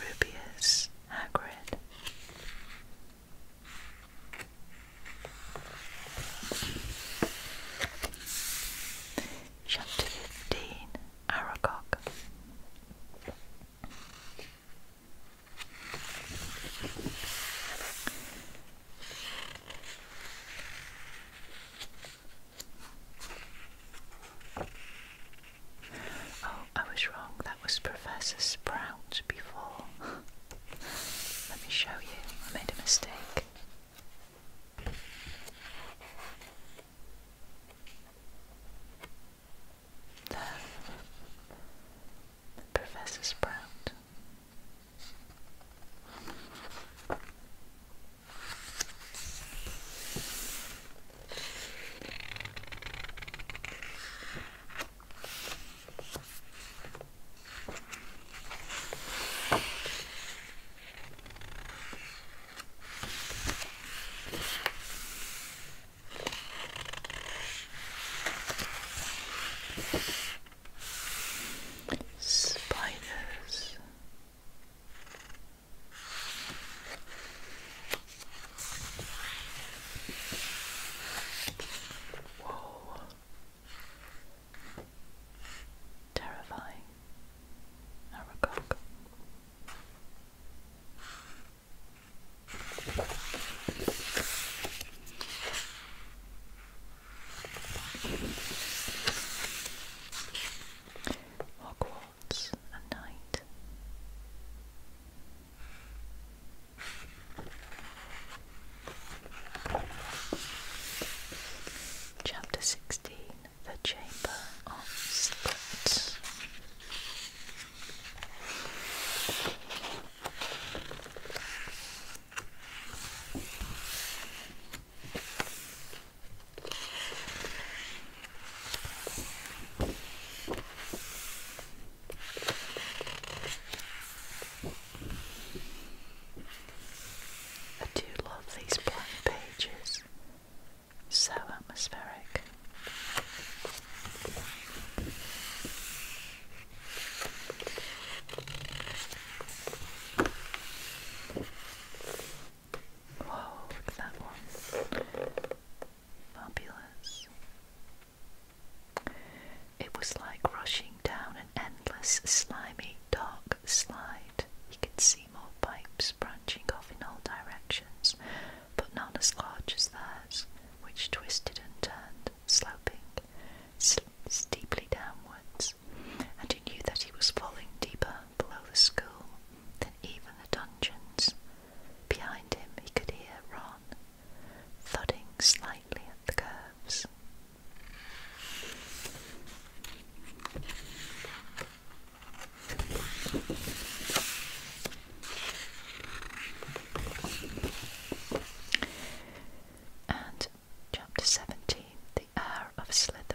Rubius Hagrid. Chapter 15 Aragog. Oh, I was wrong. That was Professor Sprout before. Let me show you. I made a mistake. There. Professor Sprout. Spiders Whoa. Terrifying. Aragog. Hogwarts. Chapter 16 The Chamber of Secrets. I do love these blank pages, so atmospheric. Whoa, that one. Fabulous. It was like rushing down an endless, slimy, dark slide. He could see more pipes branching off in all directions, but none as large as theirs, which twisted and turned, sloping sl steeply downwards. And he knew that he was falling deeper below the school than even the dungeons, Behind him, he could hear Ron thudding slightly at the curves. And Chapter 17 The Air of Slytherin.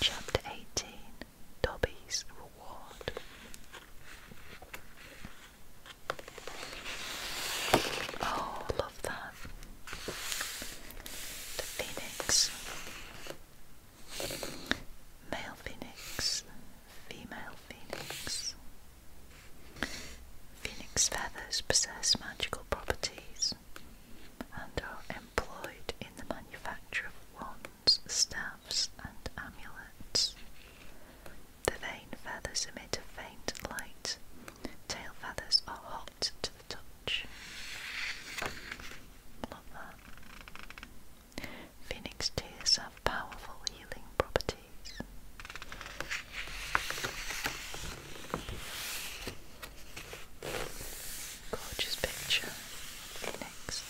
Chapter 18 Dobby's Reward Oh, love that. The phoenix. Male phoenix, female phoenix. Phoenix feathers possess magical properties and are employed in the manufacture of wands, staffs, and amulets. The vane feathers emit a faint light. Tail feathers are hot to the touch. Phoenix tears have powerful healing properties. Gorgeous picture, Phoenix.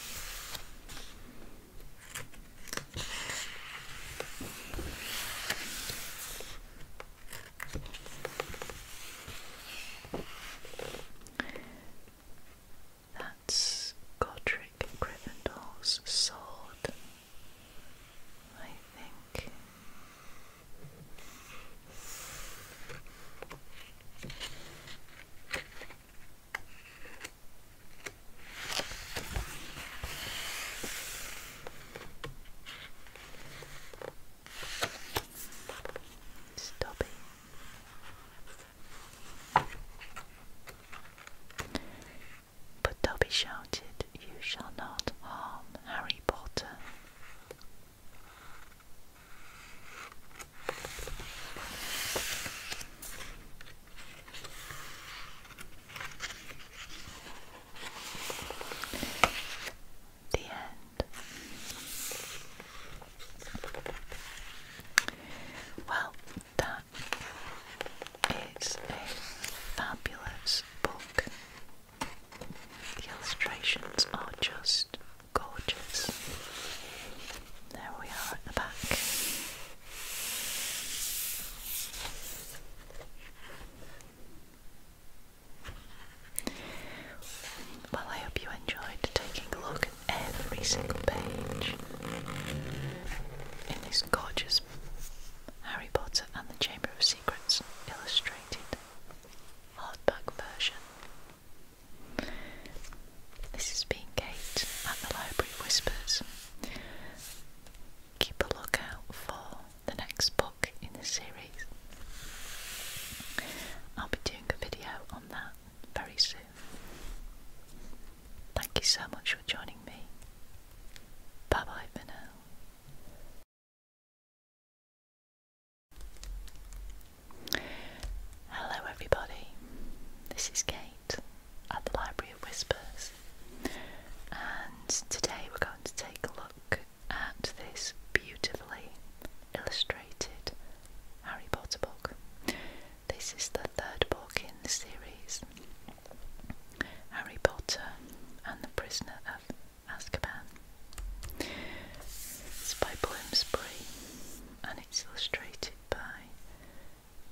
That's Godric Gryffindor's sword, I think. Stop it. But Dobby shouted, You shall not harm Harry Potter. The end. Well, that is a fabulous book. The illustrations are just gorgeous. There we are at the back. Well, I hope you enjoyed taking a look at every single page in this gorgeous Harry Potter and the Chamber of Secrets illustrated hardback version. This has been Kate at the Library Whispers keep a lookout for the next book in the series. I'll be doing a video on that very soon. Thank you so much for joining me. Bye bye for Hello, everybody. This is Kate at the Library of Whispers. And today we're going to take a look at this beautifully illustrated Harry Potter book. This is the third book in the series Harry Potter and the Prisoner of Azkaban. It's by Bloomsbury and it's illustrated by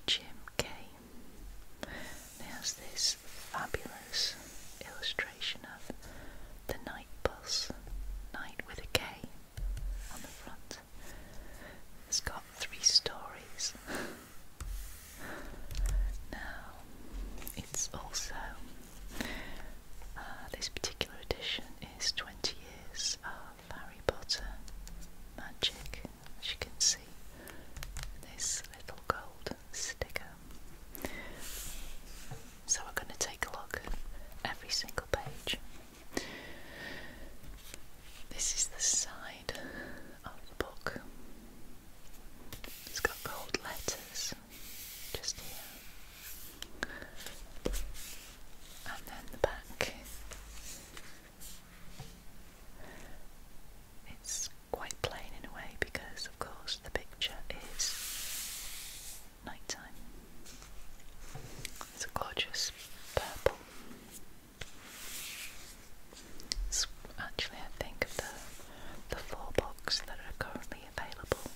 Jim Kay. There's this fabulous illustration of the night bus, night with a K on the front. It's got three stories. now, it's also, uh, this particular edition is 20 years of Harry Potter magic as you can see this little gold sticker. So we're going to take a look at every single page. This is the side of the book. It's got gold letters just here. And then the back it's quite plain in a way because, of course, the picture is nighttime. It's a gorgeous purple. It's actually, I think, of the, the four books that are currently available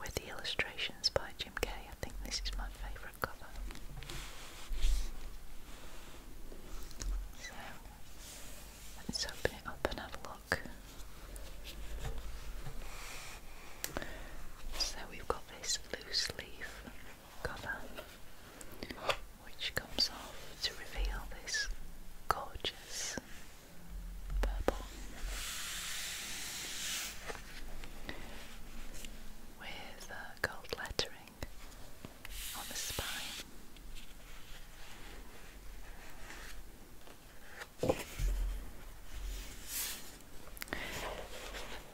with the illustrations by Jim Kay. I think this is my favourite cover. Let's open it up and have a look. So we've got this loose leaf cover which comes off to reveal this gorgeous purple with gold lettering on the spine.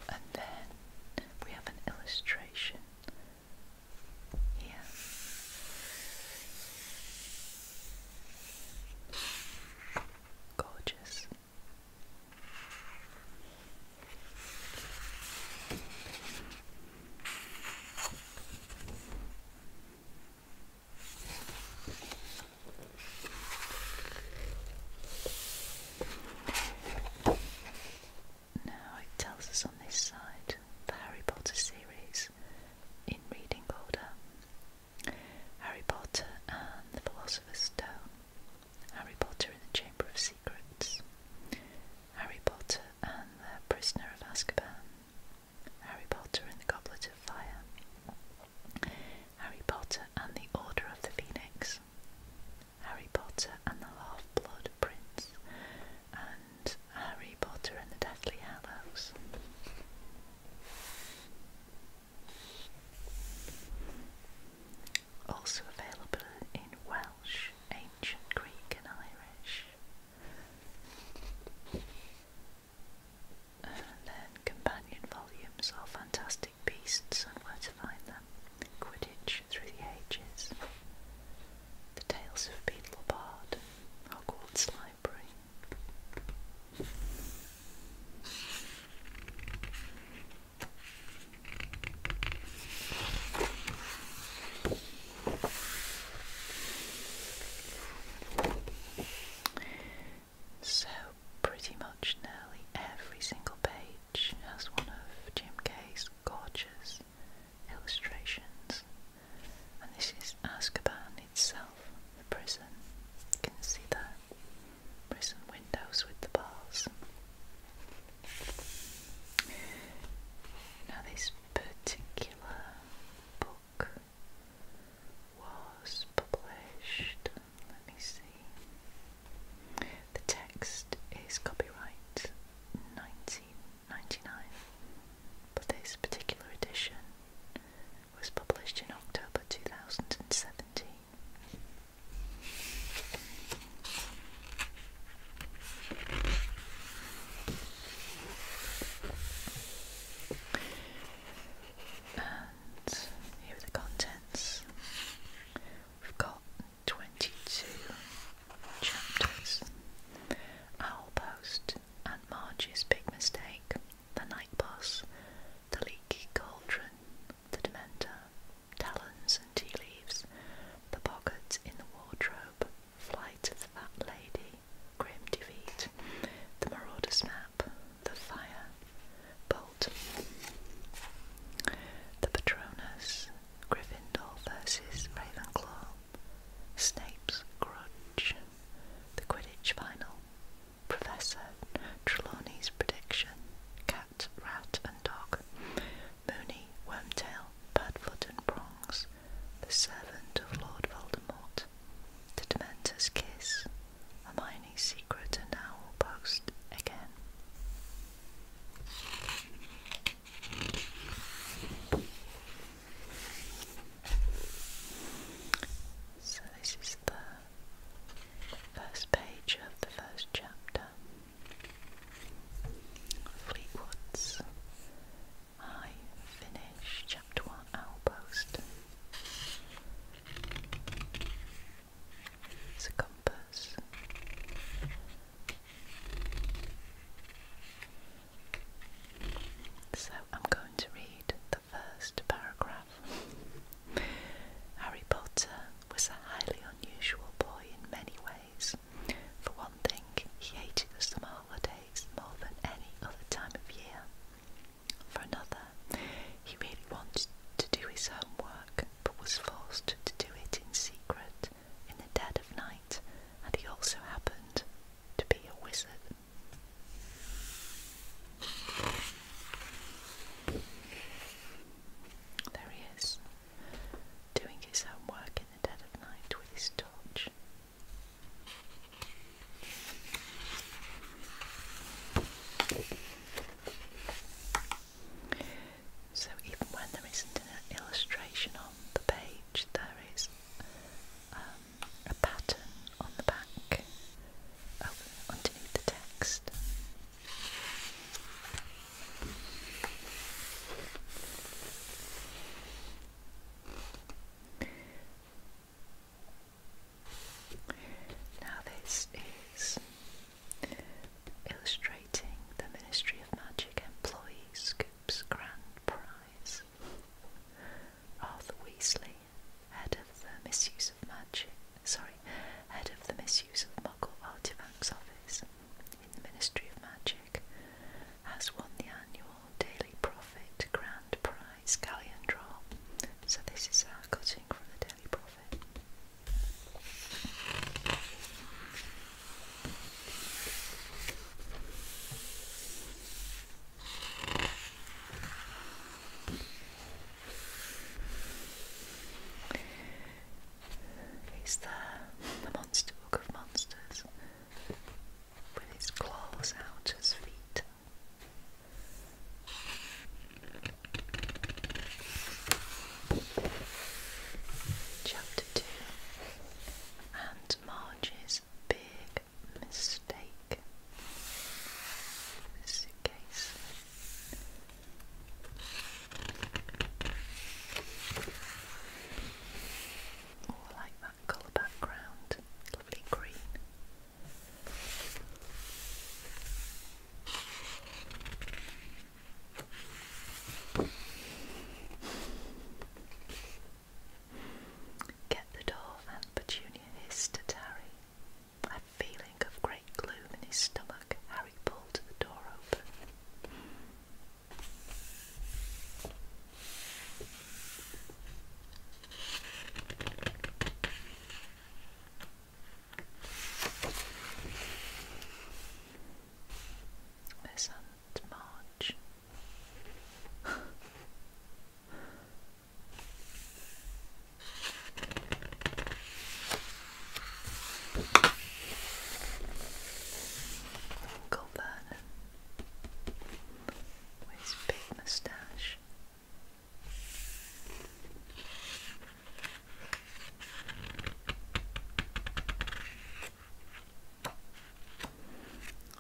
And then we have an illustration here. Gorgeous. Now it tells us on this side the Harry Potter series in reading order Harry Potter and the Philosopher's Stone, Harry Potter in the Chamber of Secrets, Harry Potter and The Prisoner of Azkaban, Harry Potter and the Goblet of Fire, Harry Potter and the Order of the Phoenix, Harry Potter and the Half-Blood Prince, and Harry Potter and the Deathly Hallows. Also available in Welsh, Ancient Greek and Irish, and then companion volumes are Fantastic Beasts and Where to Find Them, Quidditch Through the Ages, The Tales of Beetle Bard, Hogwarts Library. So, pretty much nearly every single page has one of Jim Kay's gorgeous illustrations, and this is Azkaban itself, the prison. You can see the prison windows with the bars. Now, this particular book was published. Let me see. The text is copyright 1999, but this particular edition was published in October 2017 here are the contents. We've got 22 chapters. Owl Post, and Marge's Big Mistake, The Night bus, The Leaky Cauldron, The Dementor, Talons and Tea Leaves, The Pockets in the Wardrobe, Flight of the Fat Lady, Grim Defeat, The Marauder's Map, The Fire, Bolt, The Patronus, Gryffindor versus Ravenclaw, Snape's Grudge, The Quidditch Final, Professor Trelawney's Prediction, Cat, Rat and Dog, Mooney, Wormtail, Padfoot and Prongs, the servant of Lord Voldemort, the Dementor's kiss, a mining secret and Owl Post again. So this is the first page of the first chapter. Fleetwoods I finish chapter one outpost. It's a compass. So I'm going to read the first paragraph. Harry Potter was a highly unusual boy in many ways. For one thing, he hated the summer holidays more than any other time of year. For another, he really wanted to do his homework, but was forced to do it in secret in the dead of night, and he also happened to be a wizard. There he is, doing his homework in the dead of night with his torch. So, even when there isn't an illustration on the page, there is um, a pattern on the back oh, underneath the text. Now, this is illustrating the Ministry of Magic employee's Scoop's Grand Prize. Arthur Weasley, head of the misuse of magic, sorry, head of the misuse of magical Artifacts Office, in the Ministry of Magic, has won the annual Daily Profit Grand Prize Galleon Draw. So, this is our cutting from the Daily Profit. Is the monster book of monsters? with his claws out his feet. Chapter 2 Aunt Marge's Big Mistake Suitcase all like Get the door and Petunia hissed at Harry. A feeling of great gloom in his stomach, Harry pulled the door open. This not much. Uncle Vernon with his big moustache.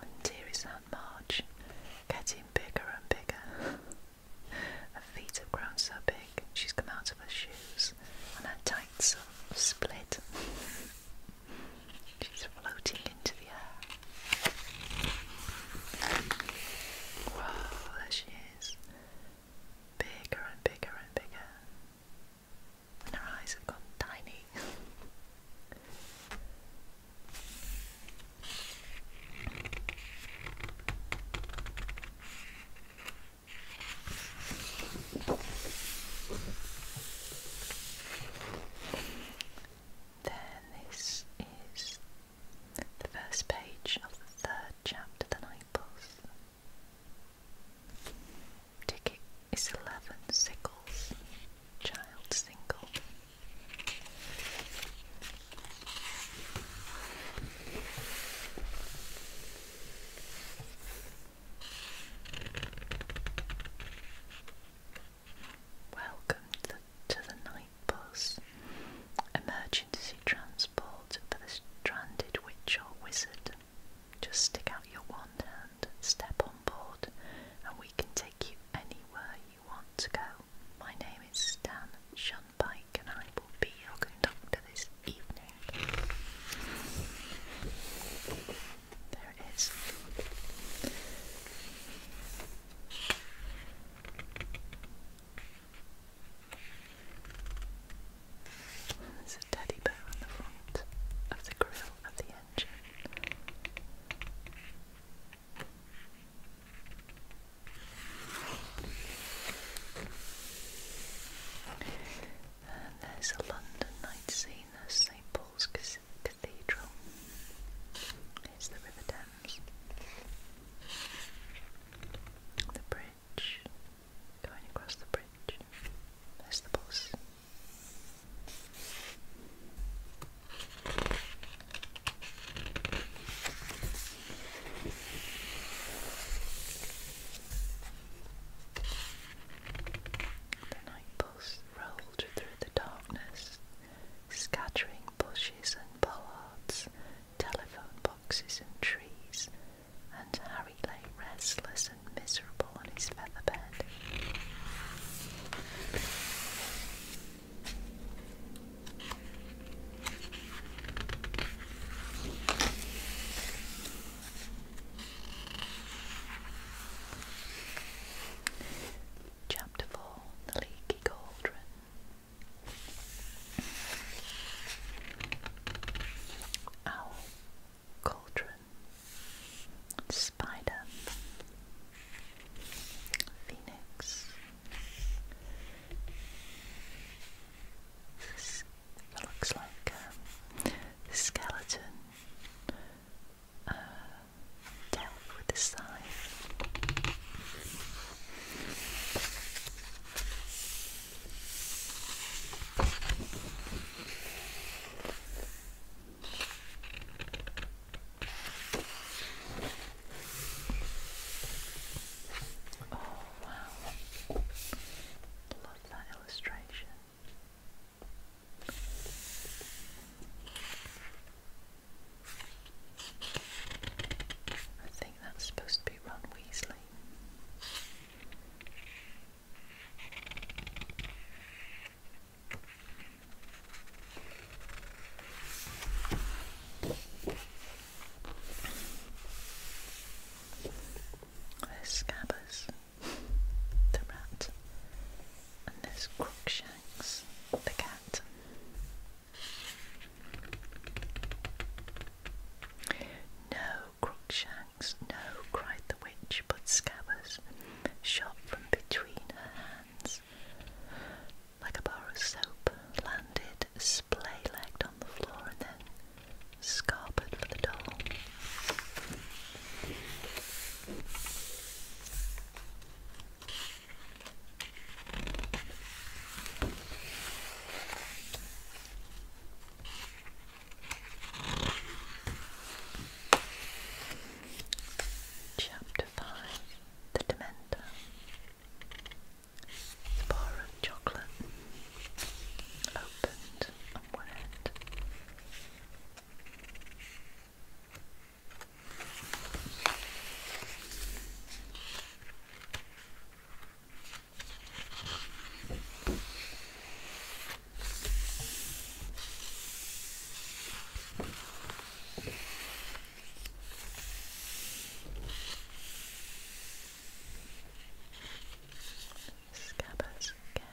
And here is Aunt March, getting bigger and bigger. her feet have grown so big, she's come out of her shoes, and her tights are split. She's floating into the air. Whoa, there she is. Bigger and bigger and bigger. And her eyes have gone tiny. There, this is the first page of the third chapter, The Night Ticket is 11 sickles, child single. Welcome to the, night bus, emergency transport for the stranded witch or wizard. Just stick out your wand hand, step on board, and we can take you anywhere you want to go. My name is Stan Shunpike, and I will be your conductor this evening. There it is. There's a teddy bear on the front of the grill of the engine. And there's a London night scene, there's St Paul's Cathedral. Cathedral. Here's the River Thames. The bridge. Going across the bridge. There's the bus. The night bus rolled through the darkness, scattering bushes and pollards, telephone boxes and trees, and Harry lay restless and miserable on his feather bed. Chapter 4 The Leaky Cauldron. Owl, cauldron, spider, phoenix. This looks like um, skeleton uh, with the sign. Oh wow. Love that illustration. I think that's supposed to be Ron Weasley. There's Scabbers, the rat, and there's Crookshanks, the cat. No, Crookshanks, no, cried the witch, but Scabbers shot from between her hands. Like a bar of soap, landed splay-legged on the floor and then scarpered for the doll. Chapter Five The Dementor The bar of chocolate opened on one Scabbers again.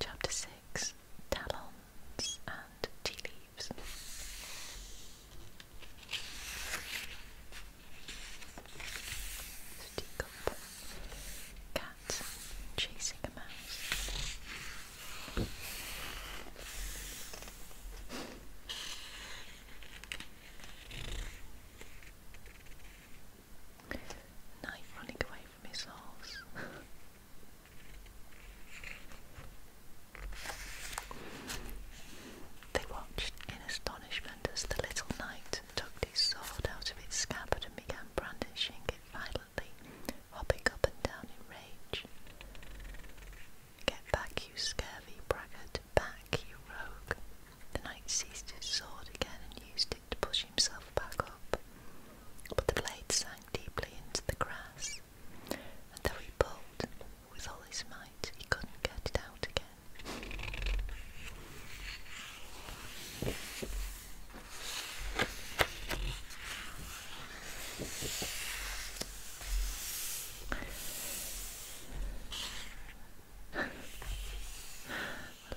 Chapter Six Talons and Tea Leaves. Stick up. Cat chasing a mouse. Knight running away from his holes. they watched in astonishment as the little knight tucked his sword out of its scabbard and began brandishing it violently hopping up and down in rage. Get back, you scurvy braggart, back, you rogue. The knight seized his sword again and used it to push himself back up, but the blade sank deeply into the grass, and though he pulled with all his might, he couldn't get it out again. I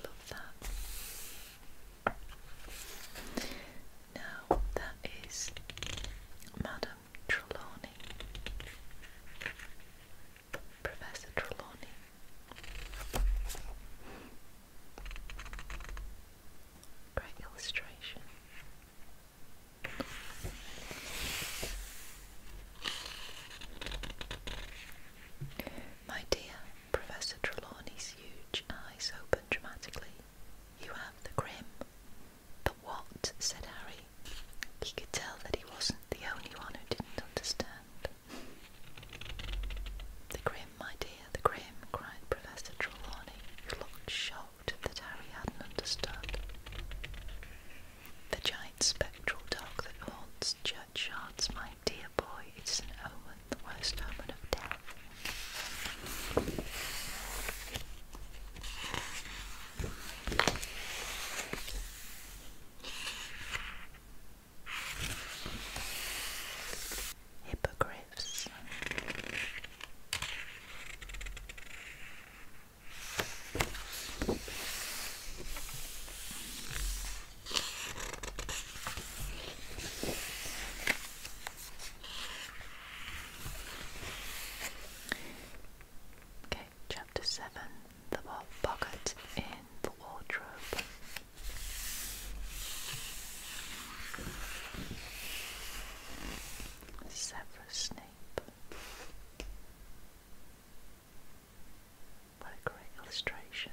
love that. Now that is Madame Trelawney, Professor Trelawney. Great illustration. My dear, Professor Trelawney's huge eyes opened dramatically. You have the grim. The what? said Harry. He could tell that he wasn't the only one who didn't understand. The grim, my dear, the grim, cried Professor Trelawney, who looked shocked thought that Harry hadn't understood. The giant spectral dog that haunts church yards, my dear boy, it's an omen, the worst omen of death hippogriffs. Okay, chapter seven the pocket in the wardrobe. Severus Snape. What a great illustration.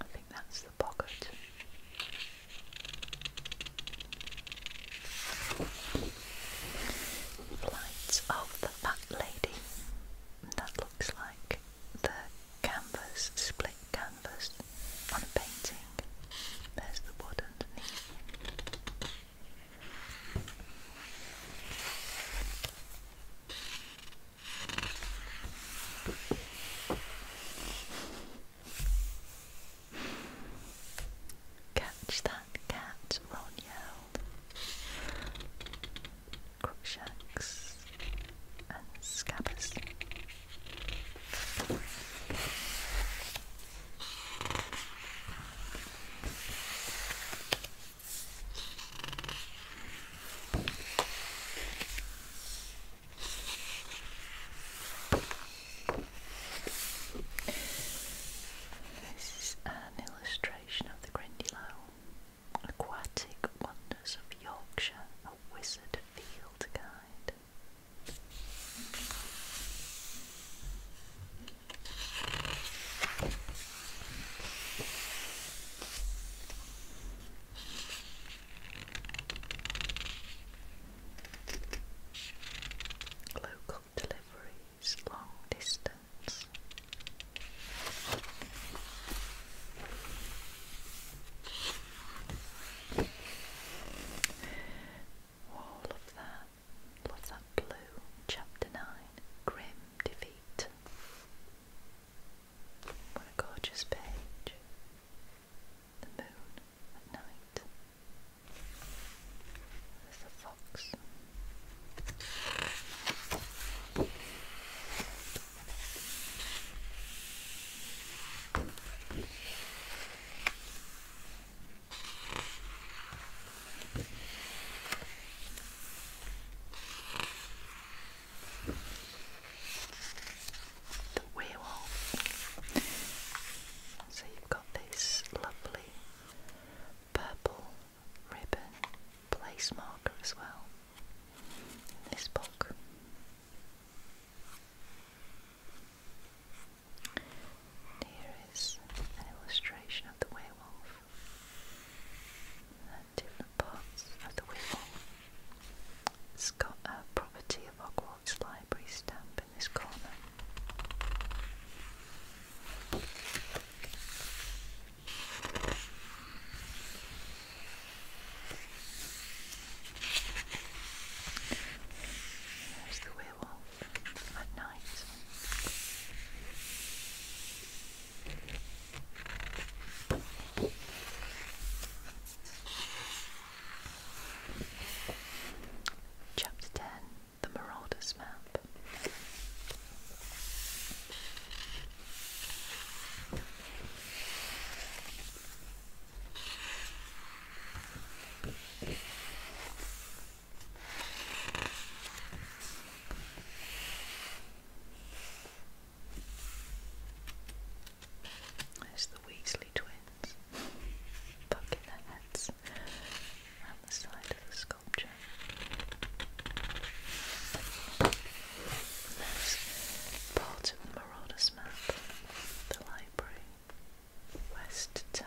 I think that's the pocket. Flights of the Fat Lady. That looks like the canvas, split canvas on a painting. There's the wood underneath. Catch that cat, Ron yelled. Crookshanks and Scabbers. This is an illustration of the Grindylow, Aquatic Wonders of Yorkshire, a Wizard Field Guide. Local deliveries, long distance. Oh, love that. Love that blue. Chapter 9 Grim Defeat. What a gorgeous page. The moon at night. There's a fox the werewolf. So you've got this lovely purple ribbon place marker as well in this book. here is an illustration of the werewolf different parts of the whistle. It's got a property of Hogwarts Library stamp in this corner. There's the werewolf at night. Chapter 10 The Marauders Map. There's the Weasley twins poking their heads around the side of the sculpture. There's part of the Marauders map, the library, West Tower.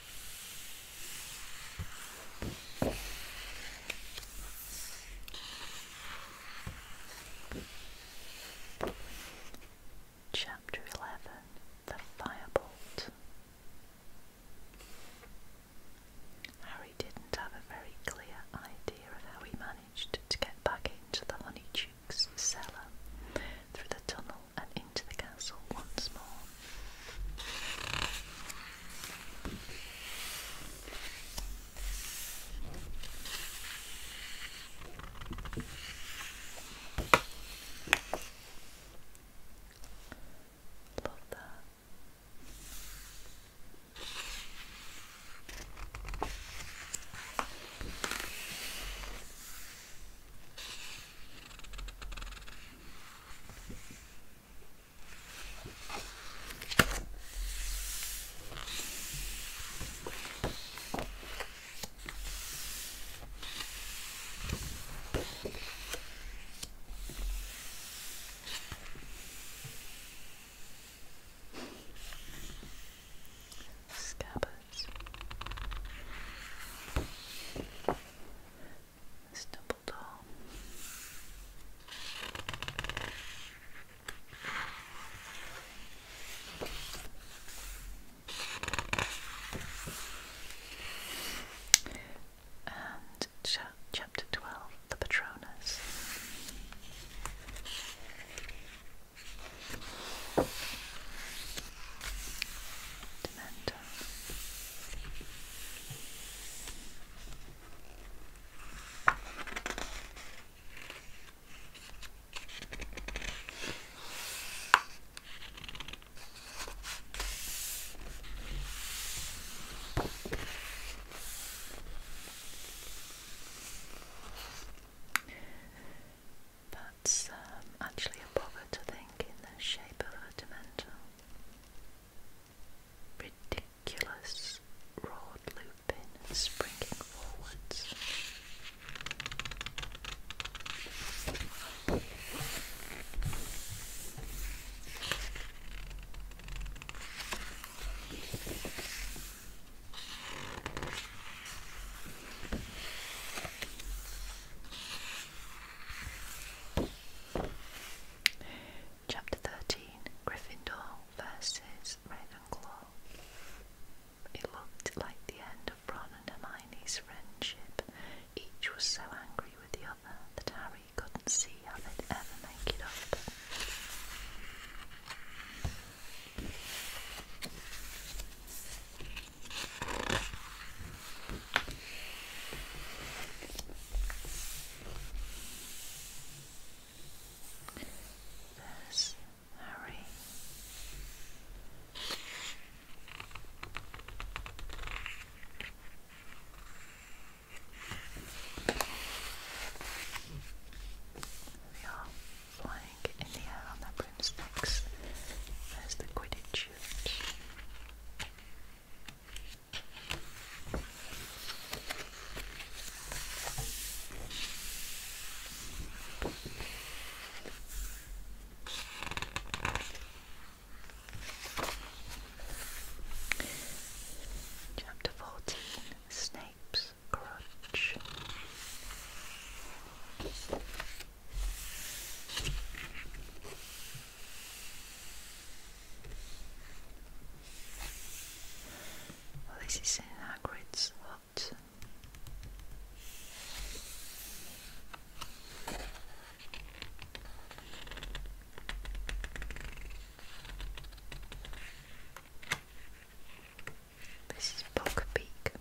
Chapter Eleven The Firebolt. Harry didn't have a very clear idea of how he managed to get back into the Honeychooks' cellar through the tunnel and into the castle once more. Love that. Scabbards chapter twelve, the Patronus sentimental. But it's um, actually a bobbit, I think, in the shape of a Dementor. Ridiculous, roared Lupin, springing forwards. Chapter 13 Gryffindor versus Ravenclaw. It looked like the end of Ron and Hermione's friendship. Each was so angry with the other that Harry couldn't see how they'd ever make it up. This Mary. We are flying in the air on the broomsticks. There's the Quidditch. Chapter fourteen Snape's Crutch. This is in Hagrid's hut. This is Bog Peak.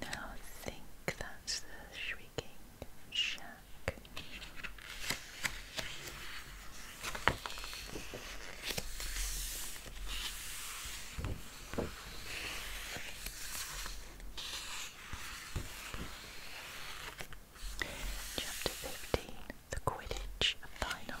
Now I think that's the shrieking shack. Chapter 15 The Quidditch Final.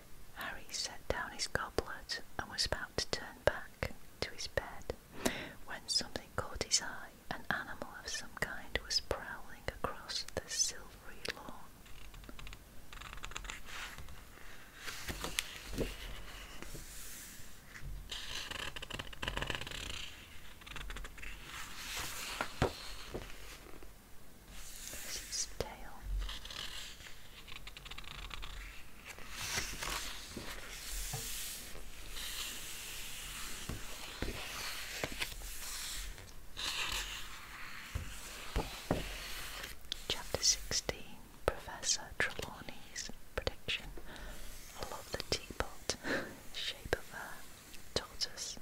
Harry set down his goblet and was about to turn back to his bed when something caught his eye. An animal of some kind was prowling across the silvery lawn. This is tail. Chapter 16 Professor Trelawney's prediction. I love the teapot shape of her tortoise.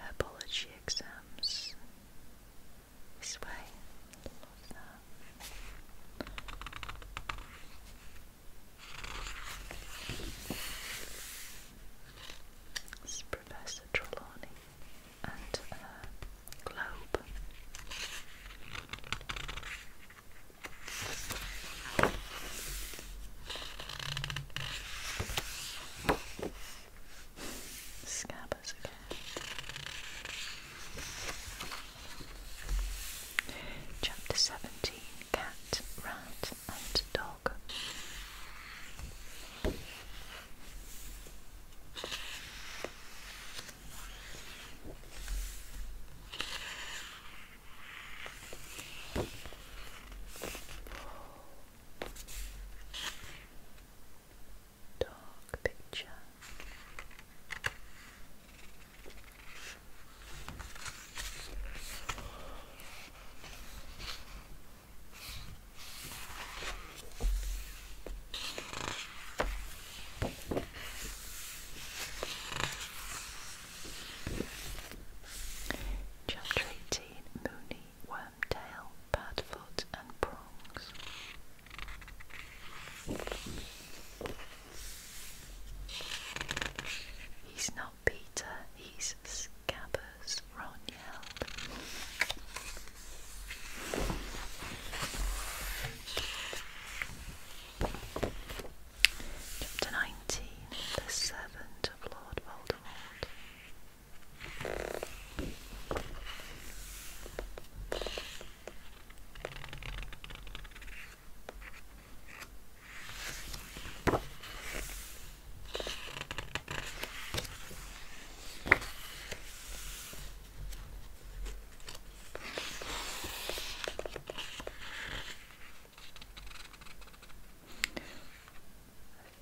Herbology exams this way. Professor Trelawney and uh, Globe. Scabbers again. Chapter seventeen cat, rat, and dog. Dog picture. Chapter 18 Mooney, Wormtail, Badfoot, and Prongs. He's not how Peter his scabbers Ron Chapter 19 The Servant of Lord Voldemort. I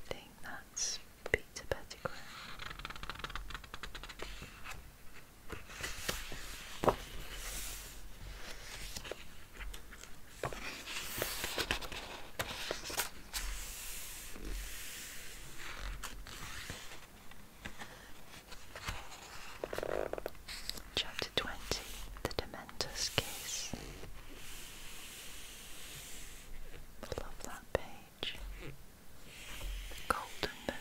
think that's Peter Pettigrew. Chapter 20 The Dementors Case. love that page. Golden Moon.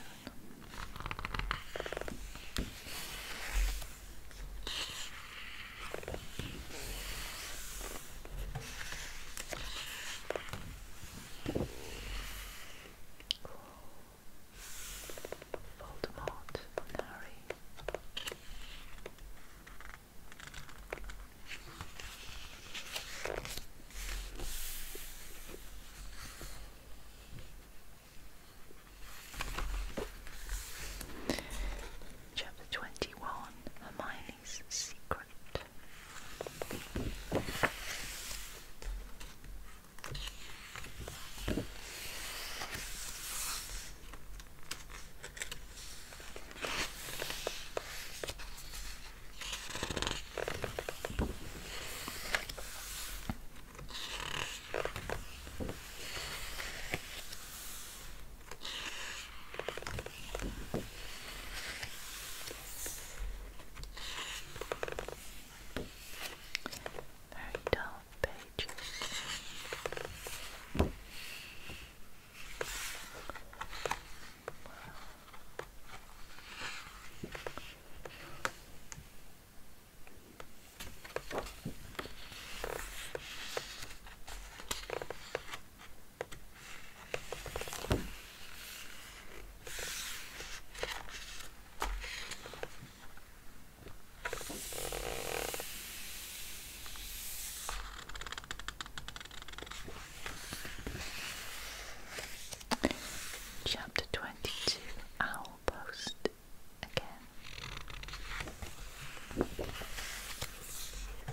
Voldemort, Nari. Chapter 21 Hermione's Secret. Very dull pages. Wow. Chapter twenty two Owl Post again.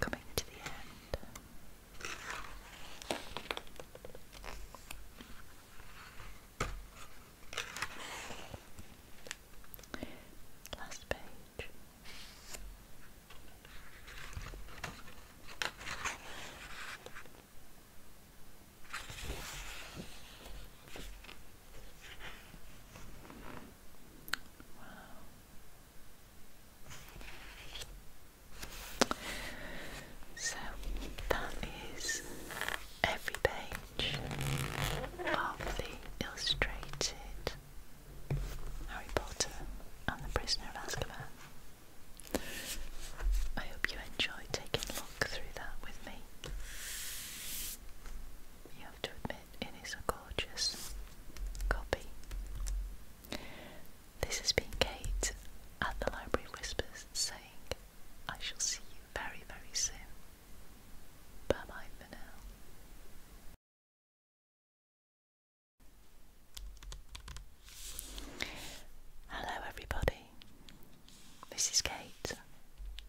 Coming to the end. Last page. So that is every page of illustrated Harry Potter and the Prisoner of Azkaban. I hope you enjoy taking a look through that with me. You have to admit, it is a gorgeous copy. This has been Kate at the Library Whispers saying, I shall see you very, very soon. Bye bye for now. Hello, everybody. This is Kate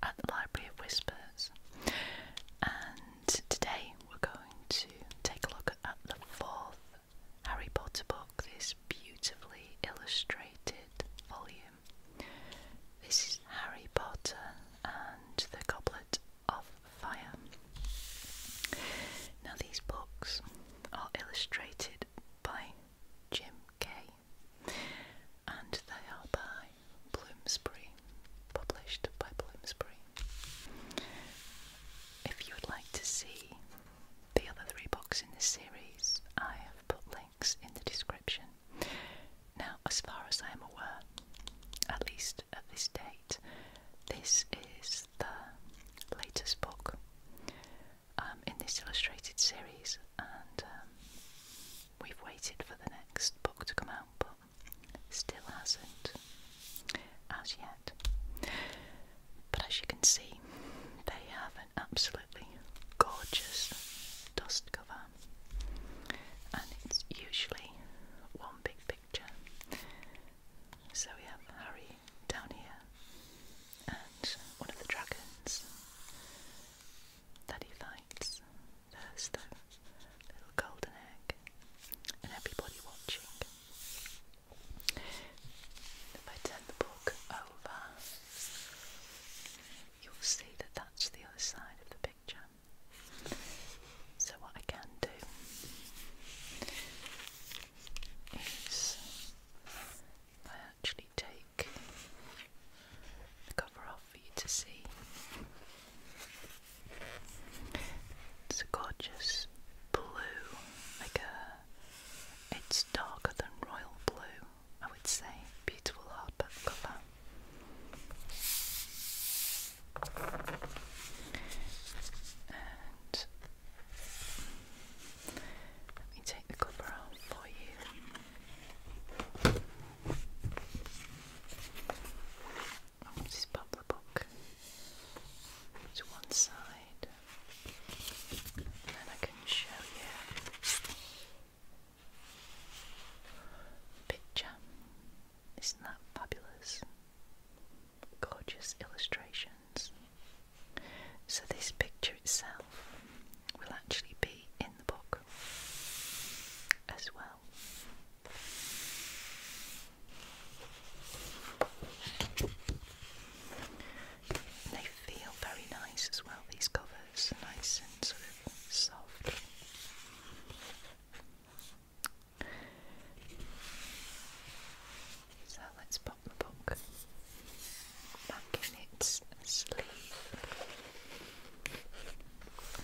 at the Library of Whispers, and today we're going to take a look at the fourth Harry Potter book, this beautifully illustrated volume. This is Harry Potter and the Goblet of Fire. Now, these books are illustrated by Jim Kay and they are by Bloomsbury, published by Bloomsbury. If you would like to see the other three books in this series, I have put links in the description. Now, as far as I am aware, at least at this date, this is the latest book um, in this illustrated series, and um, we've waited for the next book to come out, but still hasn't as yet. But as you can see, they have an absolutely gorgeous dust cover, and it's usually one big so we have Harry down here and one of the dragons that he fights. There's the little golden egg and everybody watching. If I turn the book over, you'll see that that's the other side of the picture. So, what I can do is I actually take the cover off for you to see. It's a gorgeous blue, like a. It's darker than royal blue, I would say. Beautiful hardback cover let me take the cover off for you. just pop the book to one side, and then I can show you a picture. Isn't that fabulous? gorgeous illustrations. So, this picture itself will actually be in the book as well. they feel very nice as well, these covers, nice and sort of soft. So let's pop the book back in its sleeve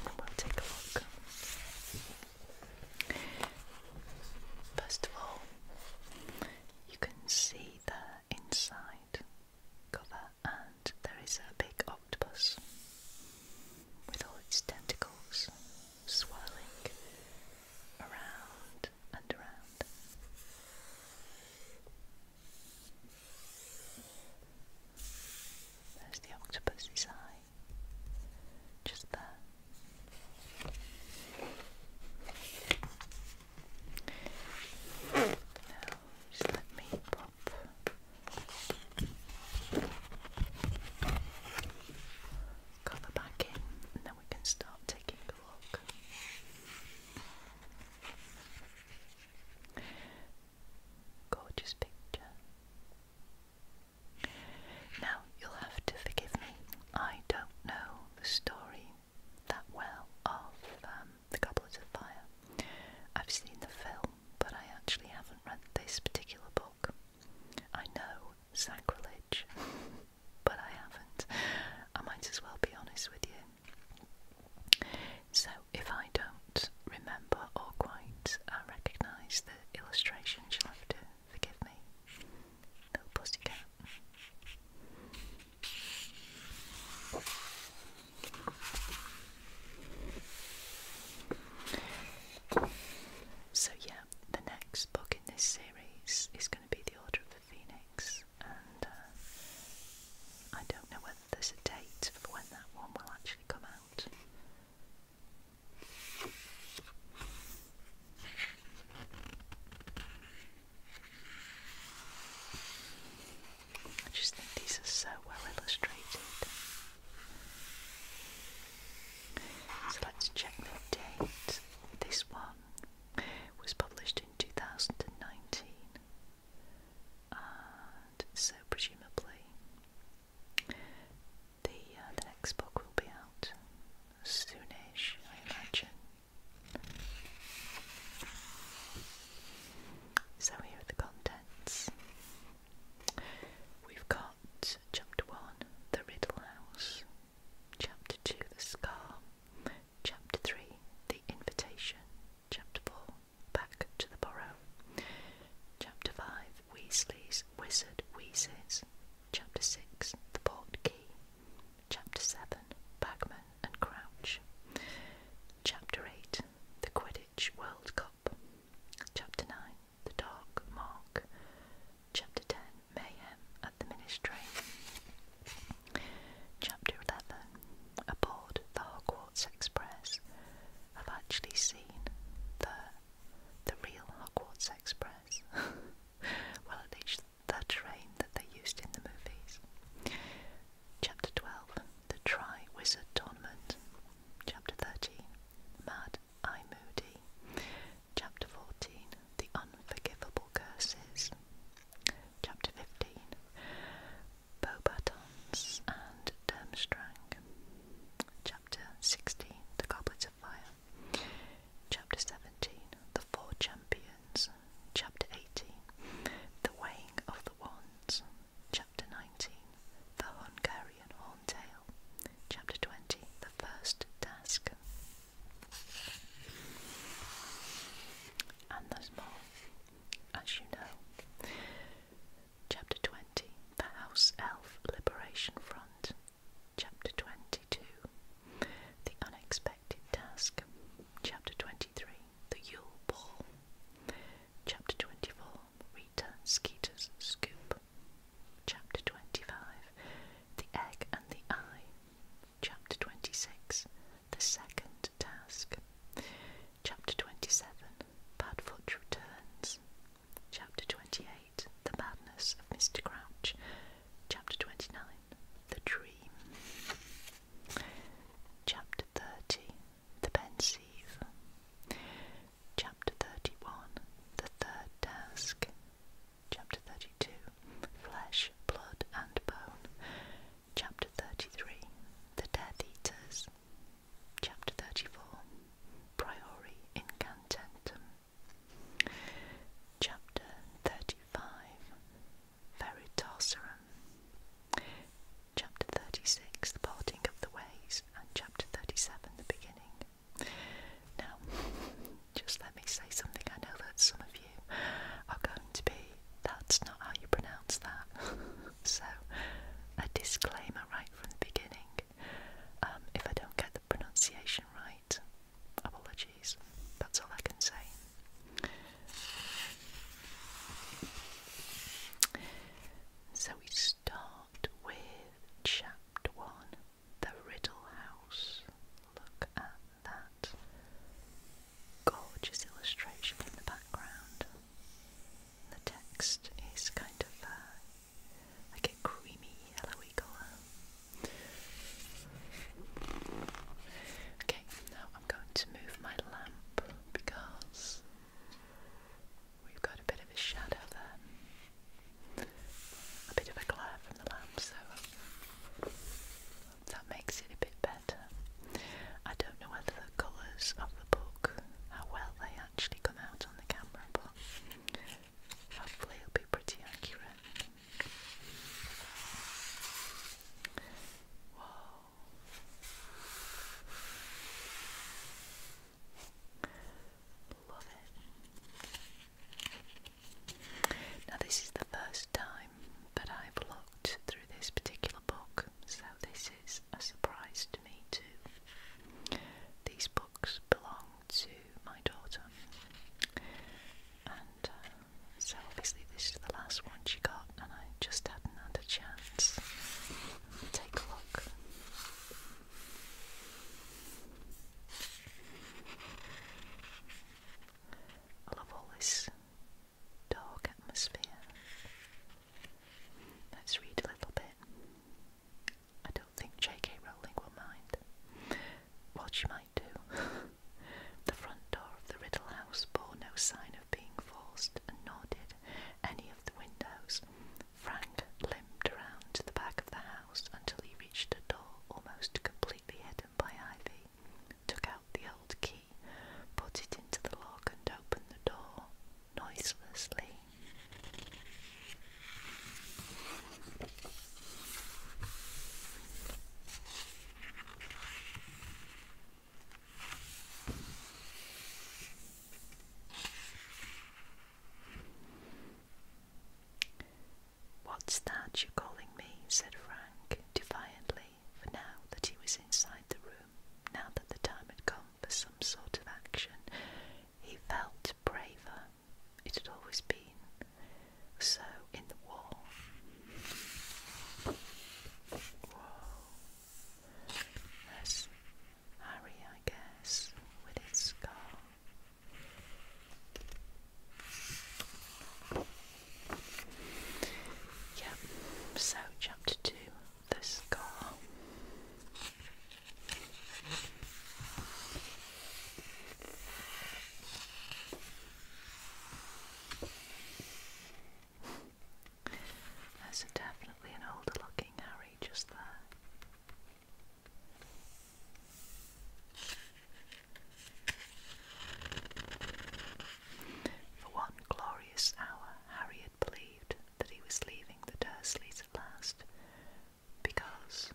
and we'll take a look. First of all, you can see the inside cover, and there is a big octopus with all its tentacles swirling around and around. There's the octopus's eye, just there. Now, just let me pop cover back in and then we can start taking a look. Gorgeous picture. Now, you'll have to forgive me, I don't know the story that well of um, The Goblet of Fire. I've seen the film, but I actually haven't read this particular book. I know sacrilege. but I haven't. I might as well be honest with you. So, if I don't remember or quite uh, recognise the illustration, you'll have to forgive me. Little pussycat. So, yeah, the next book in this series is going to be The Order of the Phoenix, and uh, I don't know whether there's a date for when that one will actually come out. I just think these are so well illustrated. So let's check the date. This one was published in 2019, and so presumably the uh, the next book will be out soonish, I imagine. So here are the contents. We've got Chapter 1, The Riddle House, Chapter 2, The Scar, Chapter 3, The Invitation, Chapter 4, Back to the Burrow. Chapter 5, Weasley's Wizard Wheezes, Chapter 6, The Port Key, Chapter 7, Bagman and Crouch, Chapter 8, The Quidditch World Cup, Chapter 9, the Dark Mark, Chapter 10 Mayhem at the Ministry, Chapter 11 Aboard the Hogwarts Express. I've actually seen the, the real Hogwarts Express. well, at least the train that they used in the movies. Chapter 12 The Tri Wizard Tournament. Chapter 13 Mad I. Moody. Chapter 14 The Unforgivable Curses. Chapter 15 Beaubatons and Durmstrang. Chapter 16 The Goblets of Fire. Chapter 17 The Four Champions. Chapter 18 The Weighing of the Wands. Chapter 19 The Hungarian Horned Chapter 20 The First Task. And there's more, as you know. Chapter 20 The House Elf Liberation Front. Chapter 22 The Unexpected Task. Chapter 23 The Yule Ball. Chapter 24 Rita Skeeter's Scoop. Chapter 25 The Egg and the Eye. Chapter 26 The Second Task. Chapter 27 Bad Padfoot Returns. Chapter 28 The Madness of Mr. Crouch. Chapter 29 The Dream. Chapter 30 The Pensive. Chapter 31 The Third Task. Chapter 32 Flesh, Blood, and Bone. Chapter 33 The Death Eaters. Chapter 34 Priori Incantentum. Chapter 35 Veritaserum. Chapter 36 The Parting of the Ways, and Chapter 37 The Beginning. Now, just let me say something. I know that some of you are going to be, that's not how you pronounce that. so, a disclaimer right from the beginning. Um, if I don't get the pronunciation right, apologies. That's all I can say. So we start with chapter one the Riddle House. Look at that. Gorgeous illustration in the background. The text is kind of uh, like a creamy yellowy colour. Okay, now I'm going to move my lamp because we've got a bit of a shadow there a bit of a glare from the lamp, so that makes it a bit better. I don't know whether the colours of the book, how well they actually come out on the camera, but hopefully it'll be pretty accurate. Whoa. Love it. Now, this is the first time that I've looked through this particular book, so this is a surprise to me, too. These books belong to my daughter, and uh, so obviously, this is the last one she got, and I just hadn't had a chance. to Take a look. I love all this dark atmosphere. Let's read a little bit. I don't think J.K. Rowling will mind. Well, she might do. the front door of the Riddle House bore no sign of being forced, and nor did any of the windows. Frank limped round to the back of the house until he reached a door almost completely hidden by ivy, took out the old key, put it into the lock, and opened the door noiselessly. What's that you're calling me? said Frank defiantly, for now that he was inside the room, now that the time had come for some sort of action, he felt braver. It had always been so in the war. Whoa. Harry, I guess, with his scar. Yeah, so chapter two, the scar. There's definitely an older looking Harry just there. For one glorious hour, Harry had believed that he was leaving the Dursleys at last, because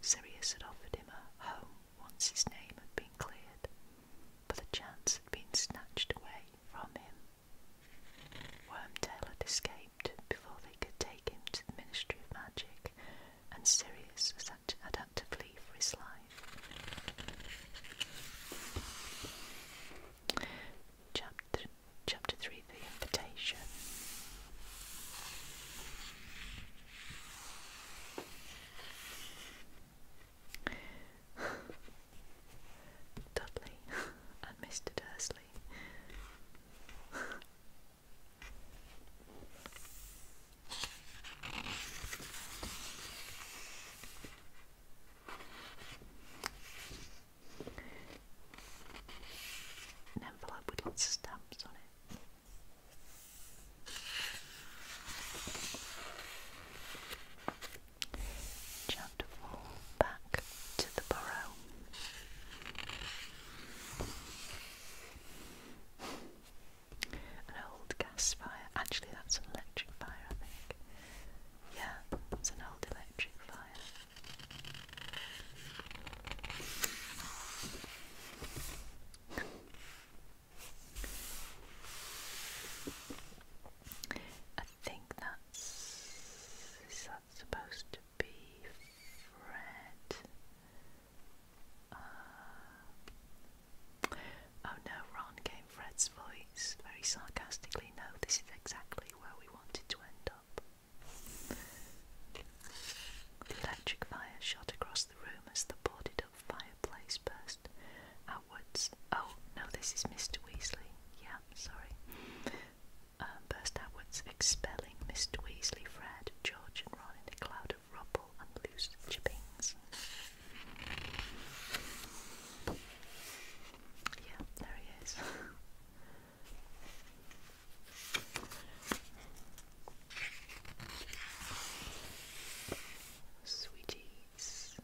Sirius had offered him a home once his name had been cleared, but the chance had been snatched away from him. Wormtail had escaped before they could take him to the Ministry of Magic, and Sirius was adaptively for his life. Chapter, chapter 3 The Invitation. Dudley and Mr. Dursley an envelope with lots of stamps on it. Chapter 4 Back to the Burrow. An old gas fire. Actually, that's an electric fire, I think. Yeah, it's an old electric fire. I think that's is that supposed to be Fred. Uh, oh no, Ron gave Fred's voice very sarcastically. No, this is exactly where we wanted to end up. The electric fire shot across the room as the boarded up fireplace burst outwards. Oh, no, this is Mr. Weasley. Yeah, sorry. Um, burst outwards, expelling Mr. Weasley, Fred, George, and Ron in a cloud of rubble and loose chippings. Yeah, there he is. Sweeties.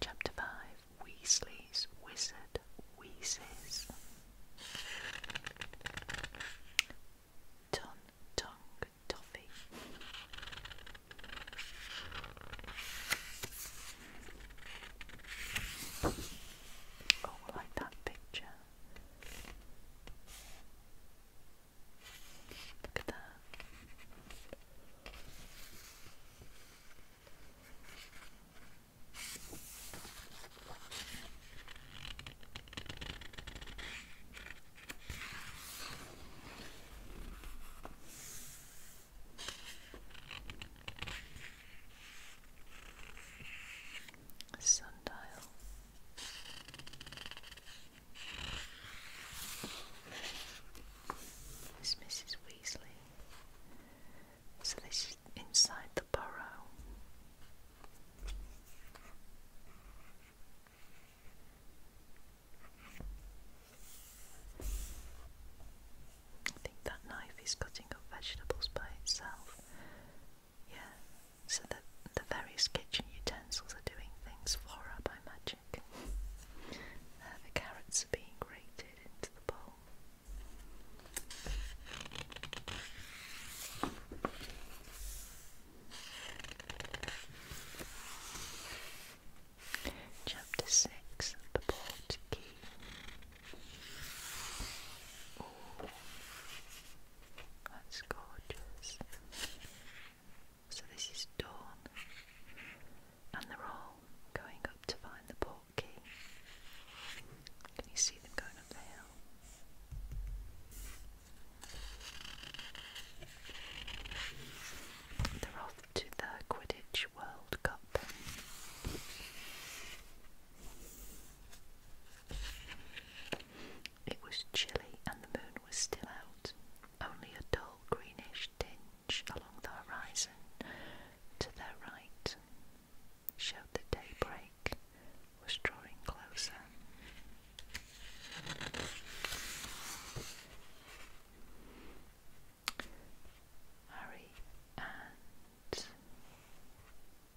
Chapter 5 Weasley's Wizard Wheezes. Ton Tongue Toffee. Oh, like that picture. Look at that. Sundial. Is Mrs. Weasley so this is inside the burrow. I think that knife is cutting up vegetables by itself. Yeah, so the, the various kitchen utensils are doing things for up, I imagine the carrots are being grated into the bowl. Chapter 6 The Port Key. Oh, that's gorgeous. So, this is dawn and they're all going up to find the port key. Can you see them going up the hill? They're off to the Quidditch World Cup. It was chilly and the moon was still out, only a dull greenish tinge along the horizon to their right showed that daybreak was drawing closer. Harry and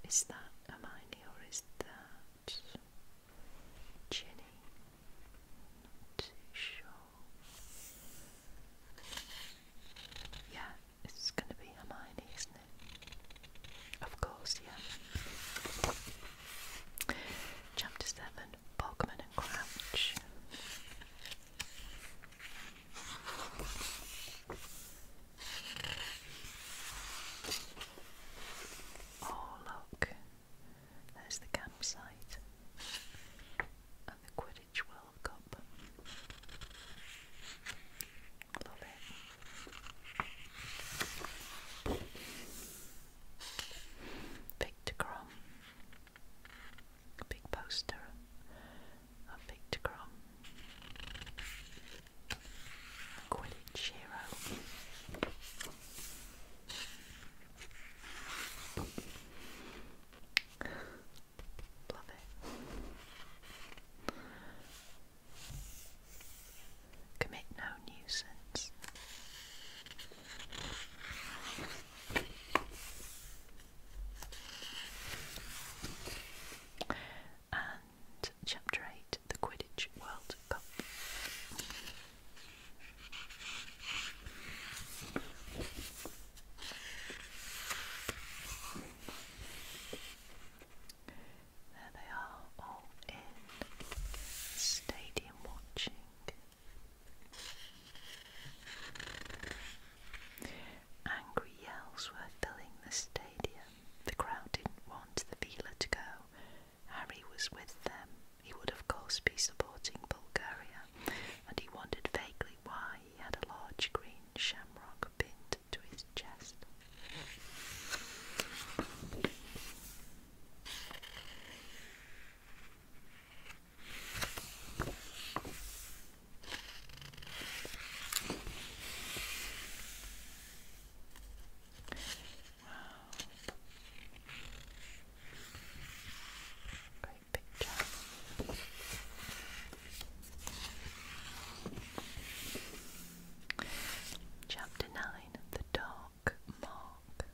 is that Hermione or is that Ginny? not too sure. Yeah, it's gonna be Hermione, isn't it? Of course, yeah. Chapter 7 Bogman and Crouch. Oh, look, there's the campsite and the quill. World Cup. Love it. Victor Crom. Big poster of Victor Crom. Quidditch Hero. Commit no nuisance. And chapter 8 the Quidditch World Cup. There they are, all in stadium watching. Angry yells were filling the stadium. The crowd didn't want the Vila to go. Harry was with them. He would, of course, be supporting Bulgaria, and he wondered vaguely why he had a large green shamrock pinned to his chest great picture. Chapter 9 The Dark Mark.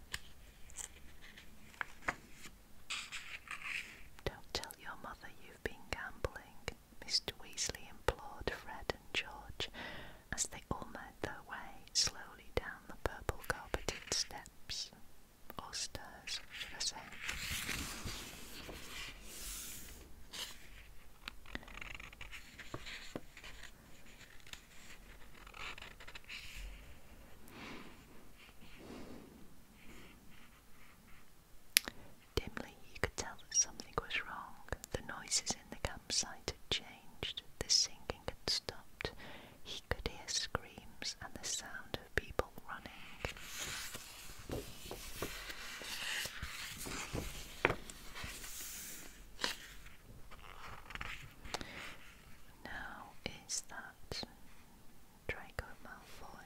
Don't tell your mother you've been gambling, Mr. Weasley implored Fred and George as they all made their way slowly down the purple carpeted steps or should I say. Dimly, you could tell that something was wrong. The noises in the campsite had changed, the singing had stopped. He could hear screams and the sound sound of Now is that Draco Malfoy.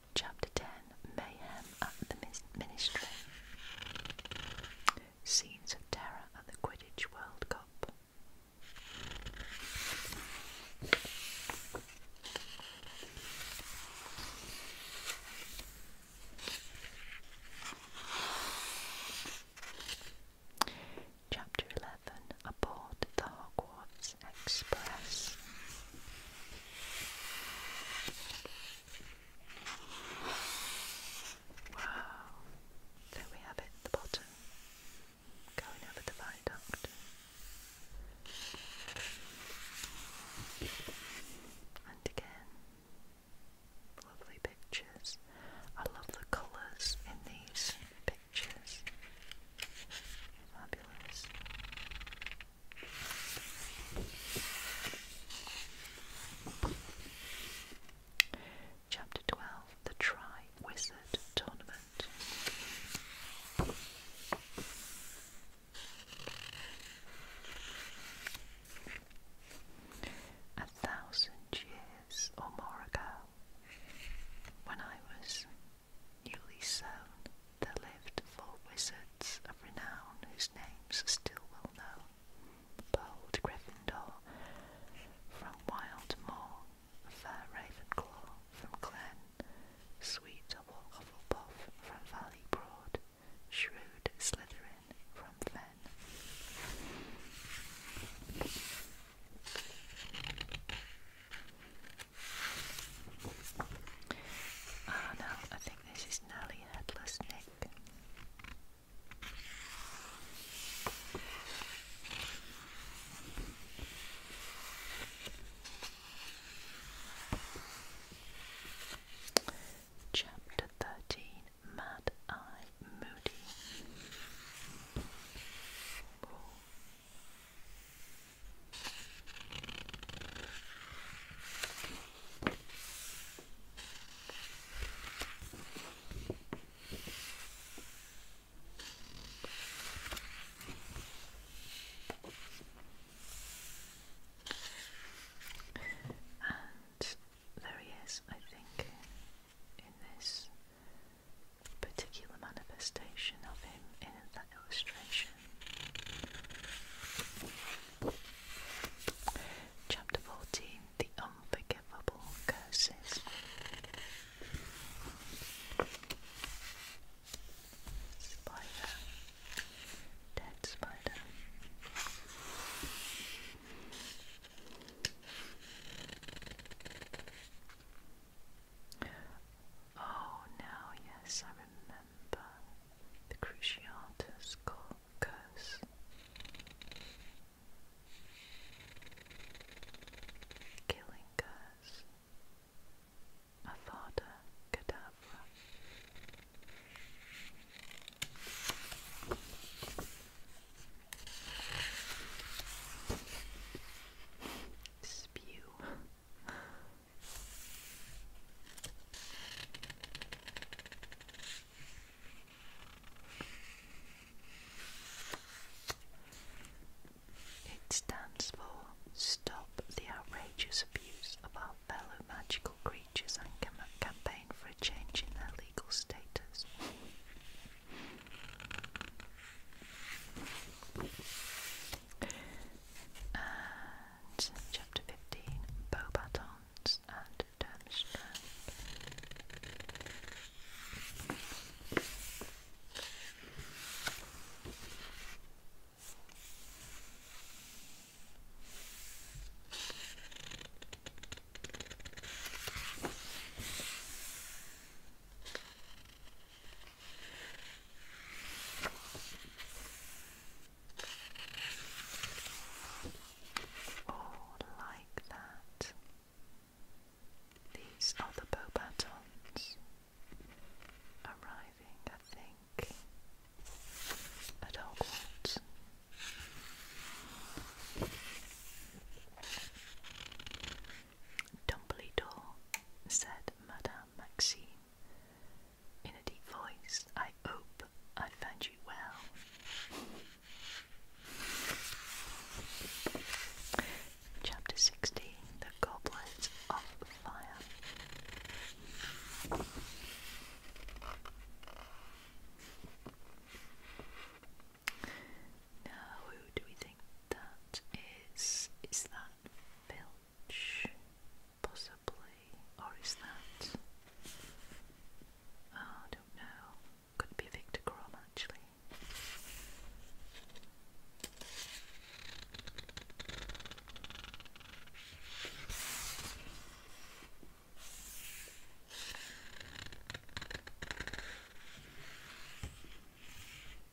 Chapter 10 Mayhem at the Ministry. Scenes of terror at the Quidditch World Cup. Chapter 11 aboard the Hogwarts Express. Wow, there we have it, the bottom, going over the viaduct. And again, lovely pictures. I love the colours in these pictures. Fabulous. Chapter 12 The Tri Tournament. A thousand years or more ago, when I was newly sown, there lived four wizards of renown whose names are still well known. Bold Gryffindor from wild Wildmoor, fair Ravenclaw from Glen, sweet Hufflepuff from Valley Broad, shrewd Slytherin from Fen. Oh no, I think this is Nelly Headless Nick. Chapter 13 Mad Eye Moody. And there he is, I think, in this particular manifestation of him in illustration. Chapter 14 The Unforgivable Curses. Spider. Dead spider. Oh, now, yes, I remember the Cruciatus curse. Killing curse. Avada Kedavra. Spew. It stands for Stop the Outrageous Abuse of Our Fellow Magical Creatures and Campaign for a Change in Their Legal Status chapter 15 Bow and Durmstrang. Oh, like that. These are the bow arriving, I think, at Hogwarts. Dumbledore, said Madame Maxime, in a deep voice, I hope I found you well. Chapter 16 The Goblets of Fire. Now, who do we think that is? Is that Filch? possibly, or is that? Oh, I don't know. Could be Victor Krum actually.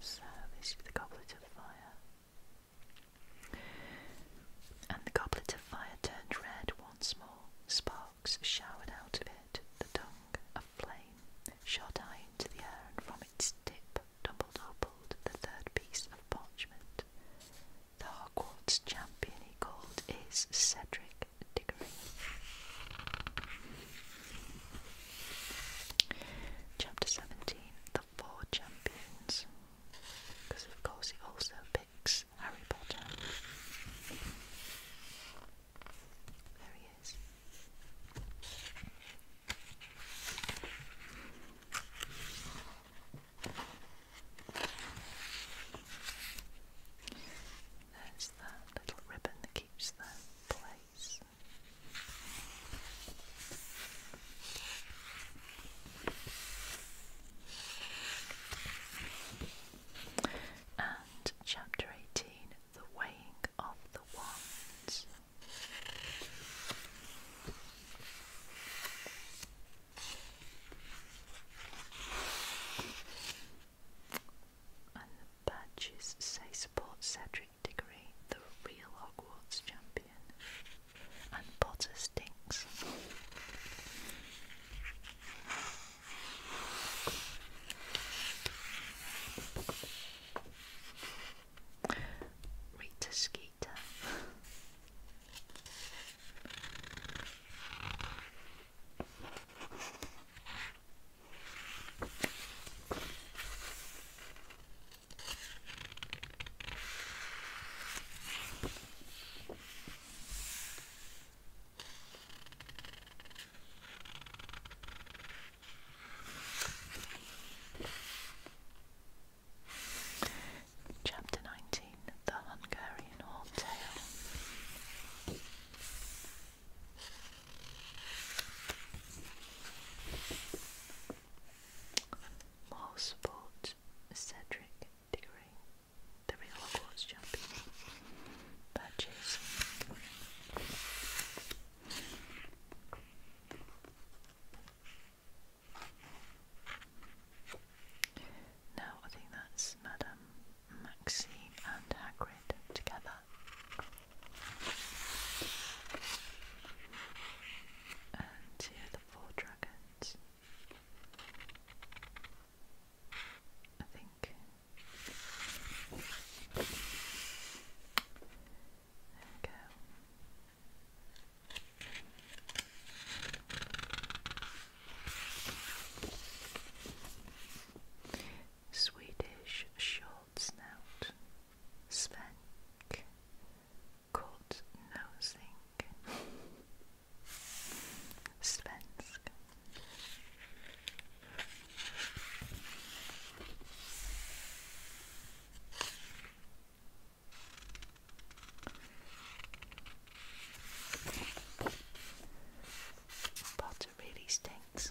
So this is the goblet of fire. And the goblet of fire turned red once more. Sparks showered out of it. The tongue of flame shot high into the air, and from its tip tumbled upward the third piece of parchment. The Hogwarts champion, he called, is Cedric Chapter 17 The Four Champions. Because, of course, it also picks Harry Potter. There he is. There's that little ribbon that keeps that place. And chapter 18 The Weighing of the Wands. And the badges say support Cedric Diggory, the real Hogwarts champion. And Potter stinks. Rita Skeeter. Chapter nineteen The Hungarian Tale. More sports Cedric Diggory, the real Hogwarts champion. Badges. Now I think that's Madame Maxine and Hagrid together. And here the four dragons. I think there we go. Swedish short snout, svenk, cut nosing, svensk. Potter really stinks.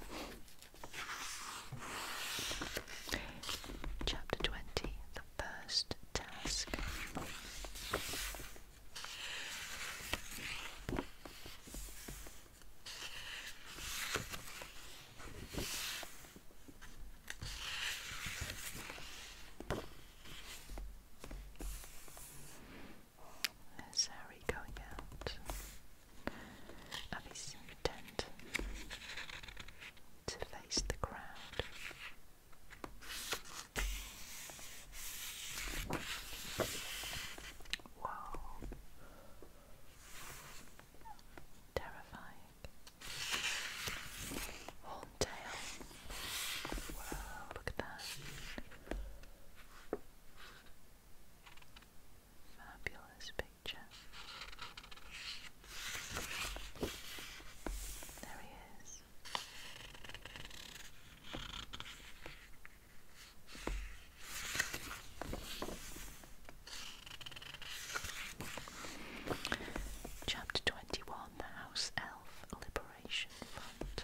Chapter 20 The First Task. There's Harry going out of his new to face the crowd. Wow. Terrifying. Horntail. Wow, look at that. Fabulous picture. There he is. Chapter 21 The House Elf Liberation Front.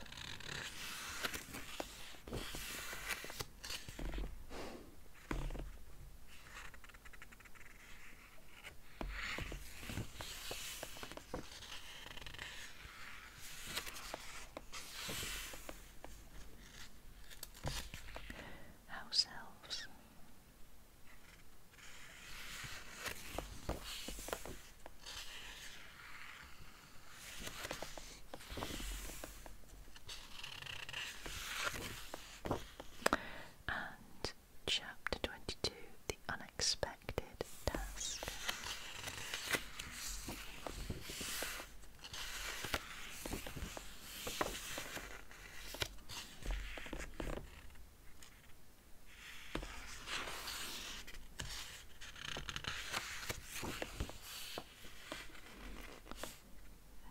House elves. And chapter 22 The Unexpected Task.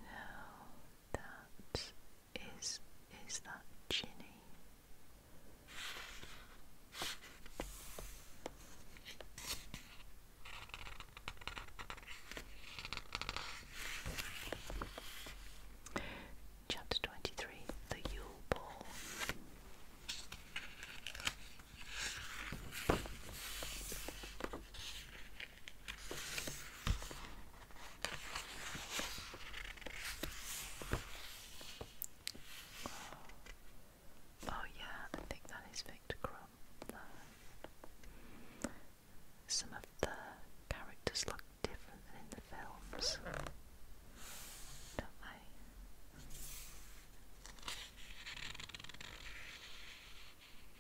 Now that is is that Ginny? Chapter twenty three, the Yule Ball. Oh, yeah, I think that is Victor Crumb. Some of the characters look different than in the films, don't they?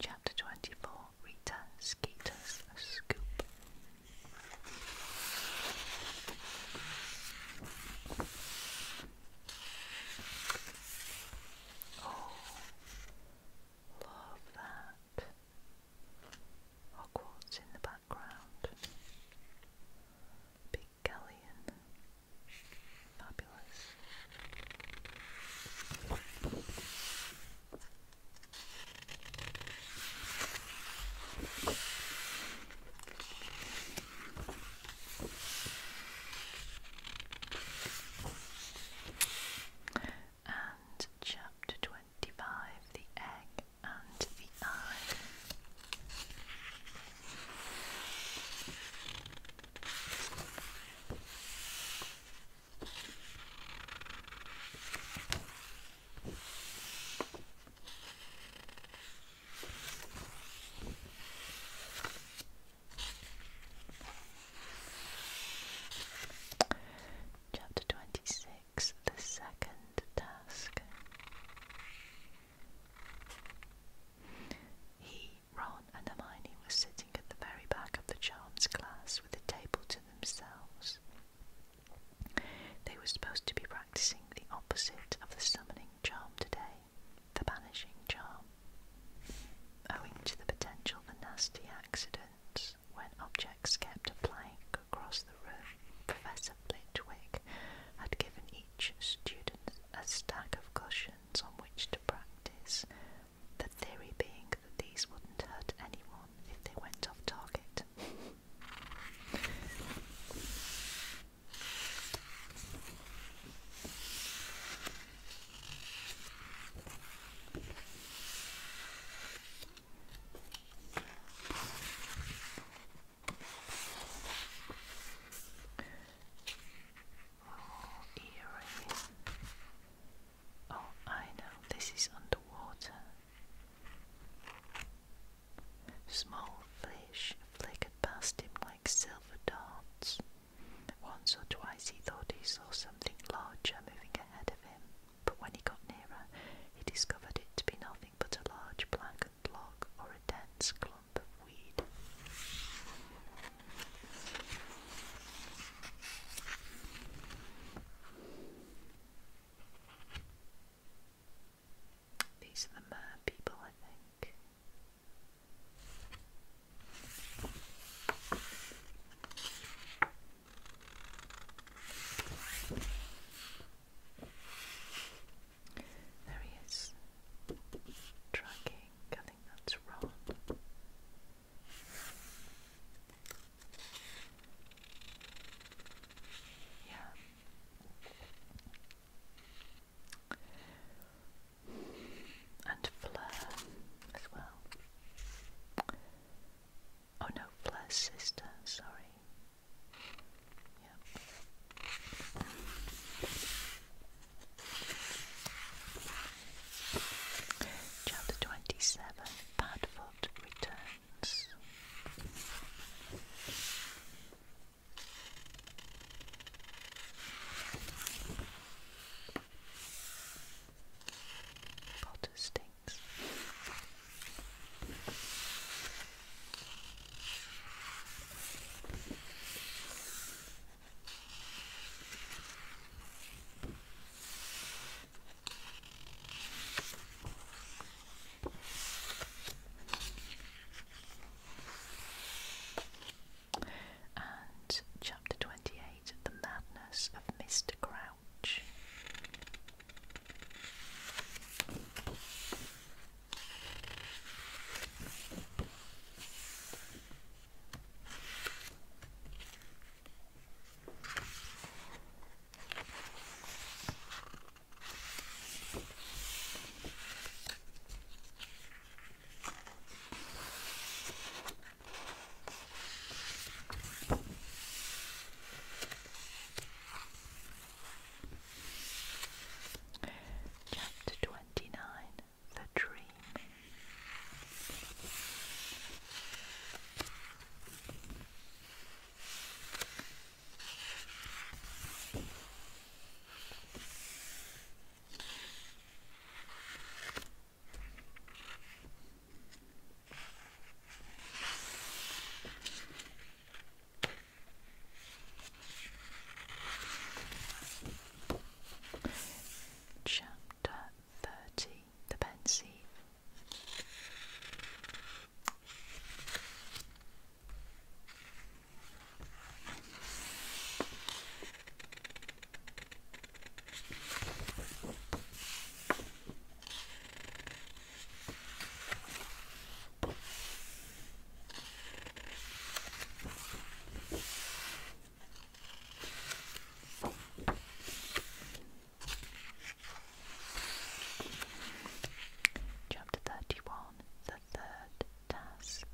Chapter 24 Rita Skeeter's Scoop. Oh, love that. Hogwarts in the background. Big galleon. Fabulous. And chapter twenty five, the egg and the eye. Chapter twenty six, the second task. He Ron and Hermione were sitting at the very back of the charms class with the table to themselves. They were supposed to be practicing the opposite of the summoning charm today, the banishing charm. Owing to the potential for nasty accidents when objects kept flying across the room, Professor Flitwick had given each student a stack of cushions on which to practice the theory being that these wouldn't hurt anyone if they went off target. Oh, eerie. Oh, I know, this is underwater. Small fish flickered past him like silver darts. Once or twice he thought he saw something larger moving ahead of him, but when he got nearer, he discovered it to be nothing but a large blackened log or a dense clump of weed. These are the mer people, I think. There he is. Tracking, I think that's Ron. Yeah. And Fleur as well. Oh no, Fleur's sister, sorry. Yep. Chapter 27 Padfoot Returns. Potter stinks. And chapter twenty eight The Madness of Mr. Crouch. Chapter twenty nine the dream. Chapter 30 the pen Pansy. Chapter thirty one, the third task.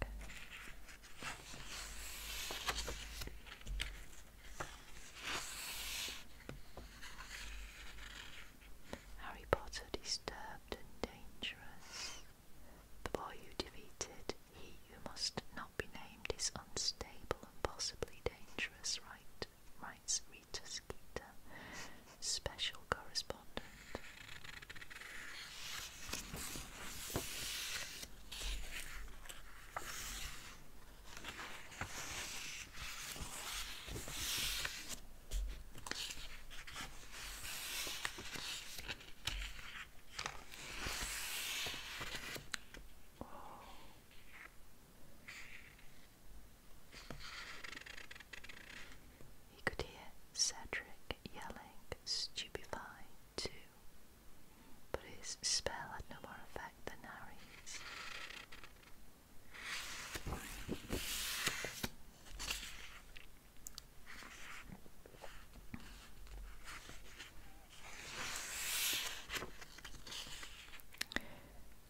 Harry Potter disturbed and dangerous. The boy who defeated he who must not not be named is unstable and possibly dangerous, right, writes Rita Skeeter, special correspondent. Wow. He could hear Cedric yelling, stupefied too, but his spell had no more effect than Harry's.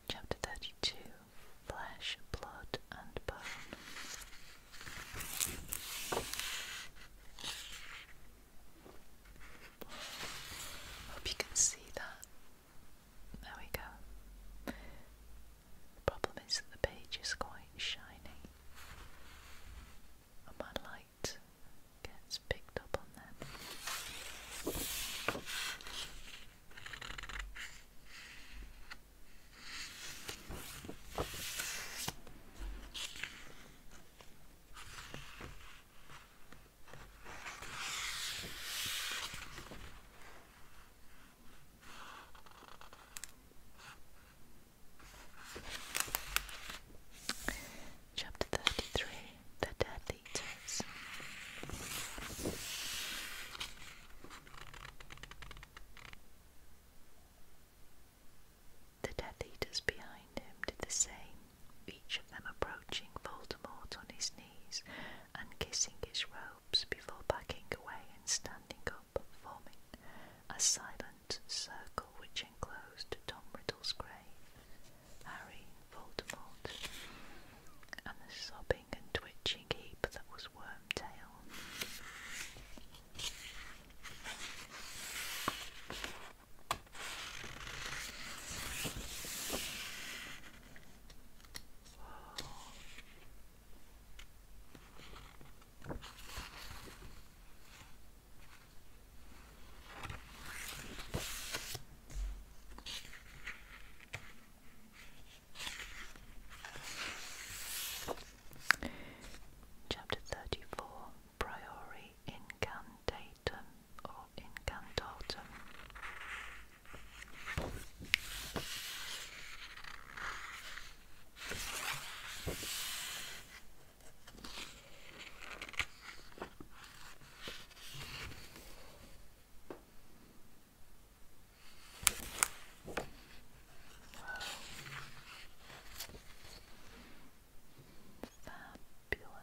Chapter 32 Flesh, Blood, and Bone. Hope you can see that. There we go. problem is that the page is quite shiny my light gets picked up on them. Chapter 33 the dead leeches. The Death Eaters behind him did the same, each of them approaching Voldemort on his knees and kissing his robes before backing away and standing up, forming a silent circle which enclosed Tom Riddle's grave. Harry Voldemort, and the sobbing and twitching heap that was Wormtail. Whoa. Chapter thirty four Priori Incantatum or Incantatum Wow. Fabulous. Wow.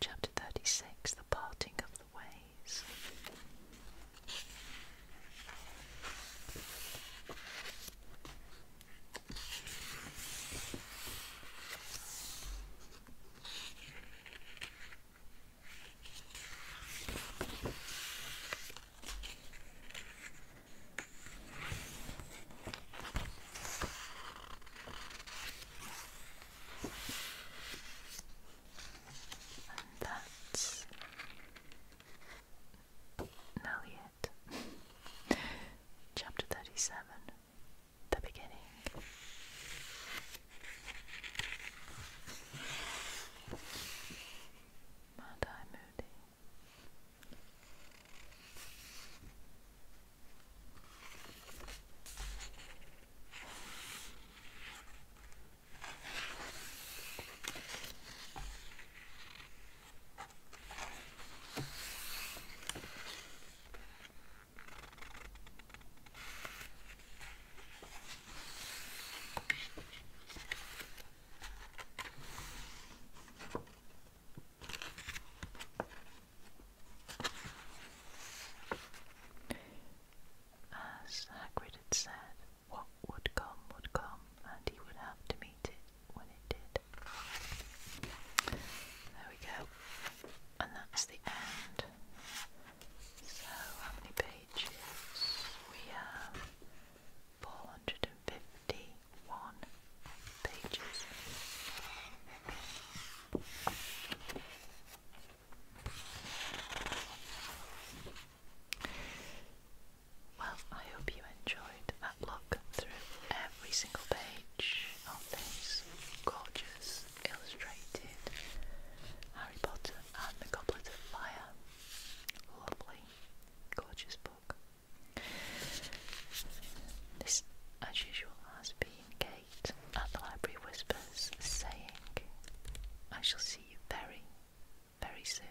Chapter thirty six The Parting of the Ways that's nearly Chapter 37 the beginning. Madi Moody. As Hagrid had said, what would come would come, and he would have to meet it when it did. There we go and that's the end. So, how many pages? We have 451 pages. Well, I hope you enjoyed that look through every single page of these gorgeous illustrated Harry Potter and the Goblet of Fire. Lovely, gorgeous book. This, as usual, has been Kate at the Library Whispers saying, I shall see you very, very soon.